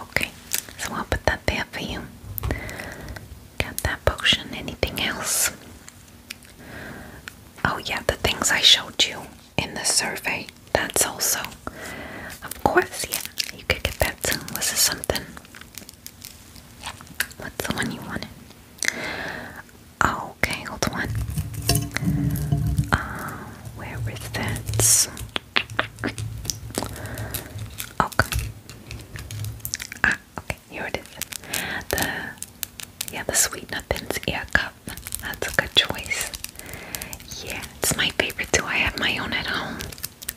Speaker 1: Okay, so I'll put that there for you. Got that potion. Anything else? Oh, yeah, the things I showed you in the survey that's also, of course, yeah, you could get that soon. Was this something? What's the one you wanted? okay, hold on. Uh, where was that? Okay. Ah, okay, here it is. The yeah, the sweet nothings ear cup. That's a good choice. Yeah, it's my favorite too. I have my own at home.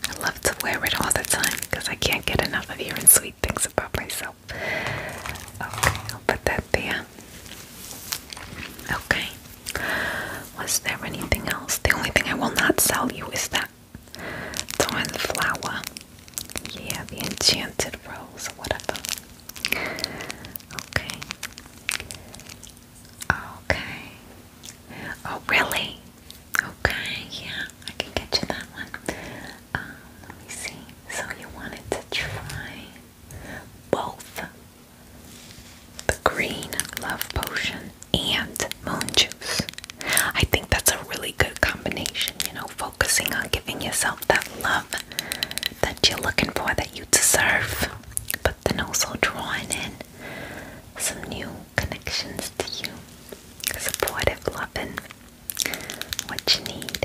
Speaker 1: I love to wear it all the time because I can't get enough of hearing sweet things about myself. Okay, I'll put that there. Okay. Was there anything else? The only thing I will not sell you is that thorn flower. Yeah, the enchanted rose or whatever. Okay. Okay. Oh, really? Okay, yeah, I can get you that one. Um, let me see. So you wanted to try both the green love potion and moon juice. I think that's a really good combination, you know, focusing on giving yourself that love that you're looking for, that you deserve, but then also drawing in some new connections to you, supportive, loving, what you need.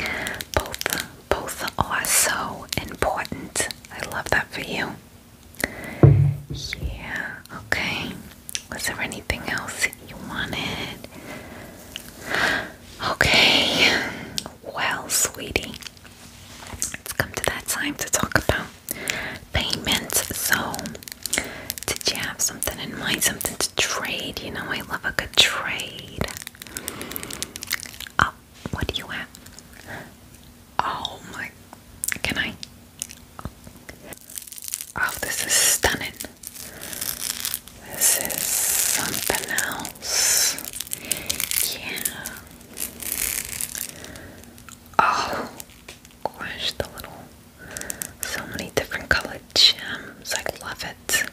Speaker 1: Yeah, both both are so important. I love that for you. Yeah. Okay. Was there anything else you wanted? Okay. Well, sweetie, it's come to that time to talk about payment. So, did you have something in mind? Something to trade? You know, I love a good trade. Oh, what do you have? Oh my, can I? Oh, this is stunning. This is something else. Yeah. Oh gosh, the little so many different colored gems. I love it.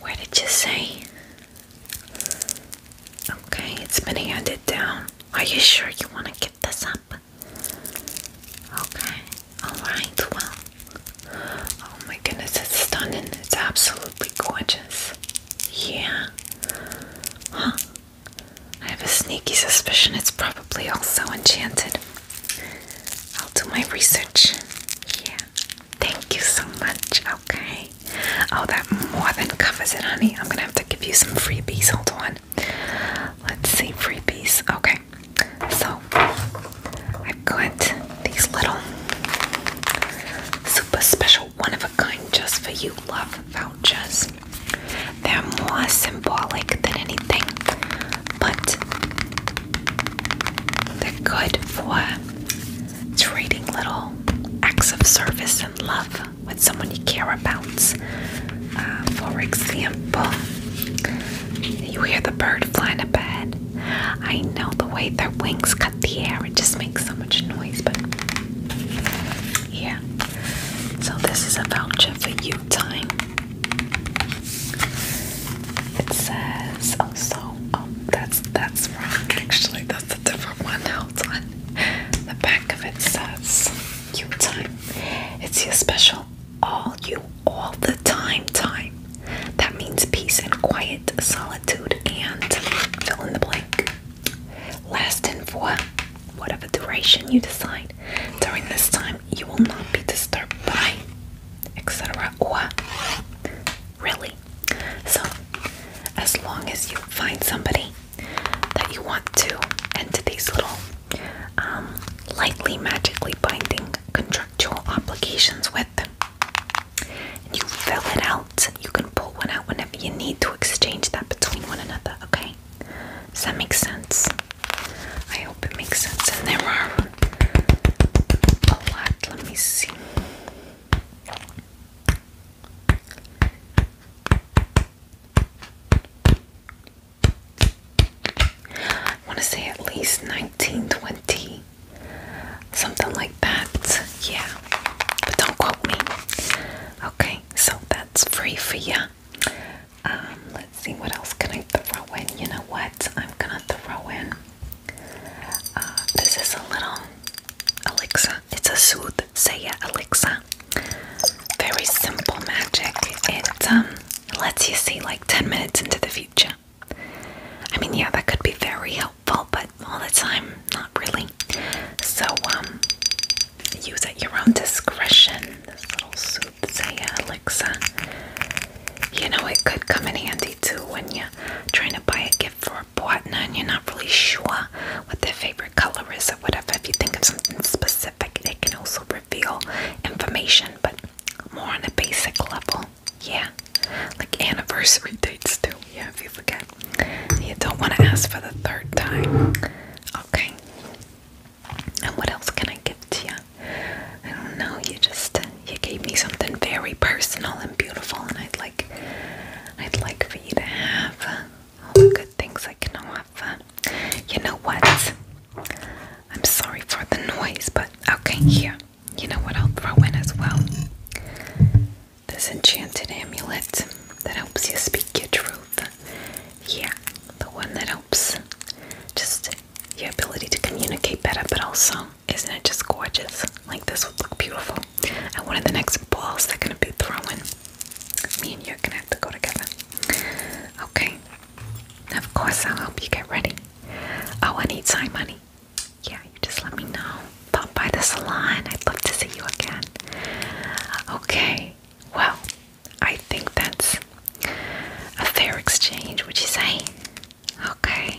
Speaker 1: Where did you say? Okay, it's been handed down. Are you sure you want to keep this up? Okay, alright, well. Oh my goodness, it's stunning. It's absolutely gorgeous. Yeah. Huh. I have a sneaky suspicion it's probably also enchanted. I'll do my research. Yeah. Thank you so much. Okay. Oh, that more than covers it, honey. I'm gonna have to give you some freebies. Hold on. Let's see, freebies. Okay. So, I've got these little super special one-of-a-kind just for you love vouchers. They're more symbolic than anything, but they're good for trading little acts of service and love with someone you care about. Uh, for example, you hear the bird flying bed. I know the way their wings cut the air, it just makes so much noise, but yeah, so this is a voucher for you time. It says oh so um that's that's wrong actually that's a different one. Hold on. The back of it says you time. It's your special all you all the time time. That means peace and quiet, solitude and fill in the blank. Last and for whatever duration you decide. During this time, you will not be disturbed by, etc., or really. So, as long as you find somebody that you want to enter these little um, lightly magically binding contractual obligations with, and you fill it out, you can one out whenever you need to exchange that between one another, okay? Does that make sense? I hope it makes sense. And there are a lot. Let me see. I want to say at least 19, 20, something like that. Yeah, but don't quote me. Okay, so that's free for you. Um, let's see what else can I throw in. You know what? I'm gonna throw in. Uh, this is a little elixir. It's a Sooth Saya elixir. Very simple magic. It um, lets you see like 10 minutes into the future. I mean, yeah, that could be very helpful, but all the time, not really. So, um, use at your own discretion this little soothsayer elixir. You know, it could come in handy too when you're trying to buy a gift for a partner and you're not really sure what their favorite color is or whatever. If you think of something specific, it can also reveal information, but more on a basic level. Yeah, like anniversary dates too. Yeah, if you forget. You don't want to ask for the third time. Okay. And what else can I give to you? I don't know. You just you gave me something very personal and beautiful, and I'd like I'd like for you to have uh, all the good things I can offer. You know what? I'm sorry for the noise, but okay, here. You know what? I'll throw in as well this enchanted amulet that helps you speak your truth. Yeah, the one that helps just your ability to communicate better, but also, isn't it just gorgeous? Like, this would look beautiful. And one of the next balls they're gonna be throwing, me and you're gonna have to go together. Okay, of course, I'll help you get ready. Oh, I need time, honey. Yeah, you just let me know. Pop by the salon. I'd love to see you again. Okay, well, I think that's a fair exchange, would you say? Okay, okay.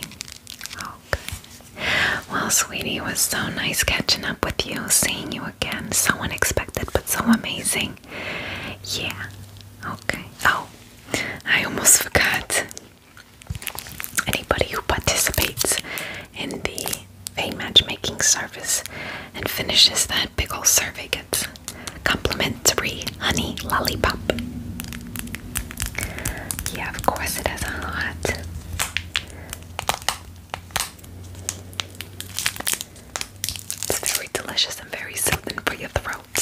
Speaker 1: Well, sweetie, was so nice catching up with you, seeing you again. So unexpected, but so amazing. Yeah, okay. Oh, I almost forgot. Anybody who participates in the pain matchmaking service and finishes that big ol' survey gets complimentary honey lollipop. Yeah, of course it has a lot. It's very delicious and very soothing for your throat.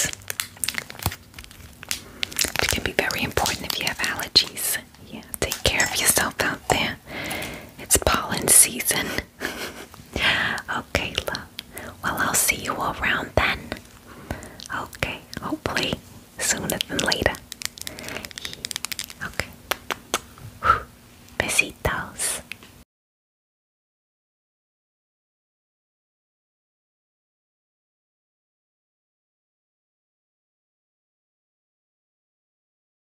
Speaker 1: It can be very important if you have allergies. Yeah, take care of yourself out there. It's pollen season. okay, Well, I'll see you around then. Okay, hopefully sooner than later. Okay. Besitos.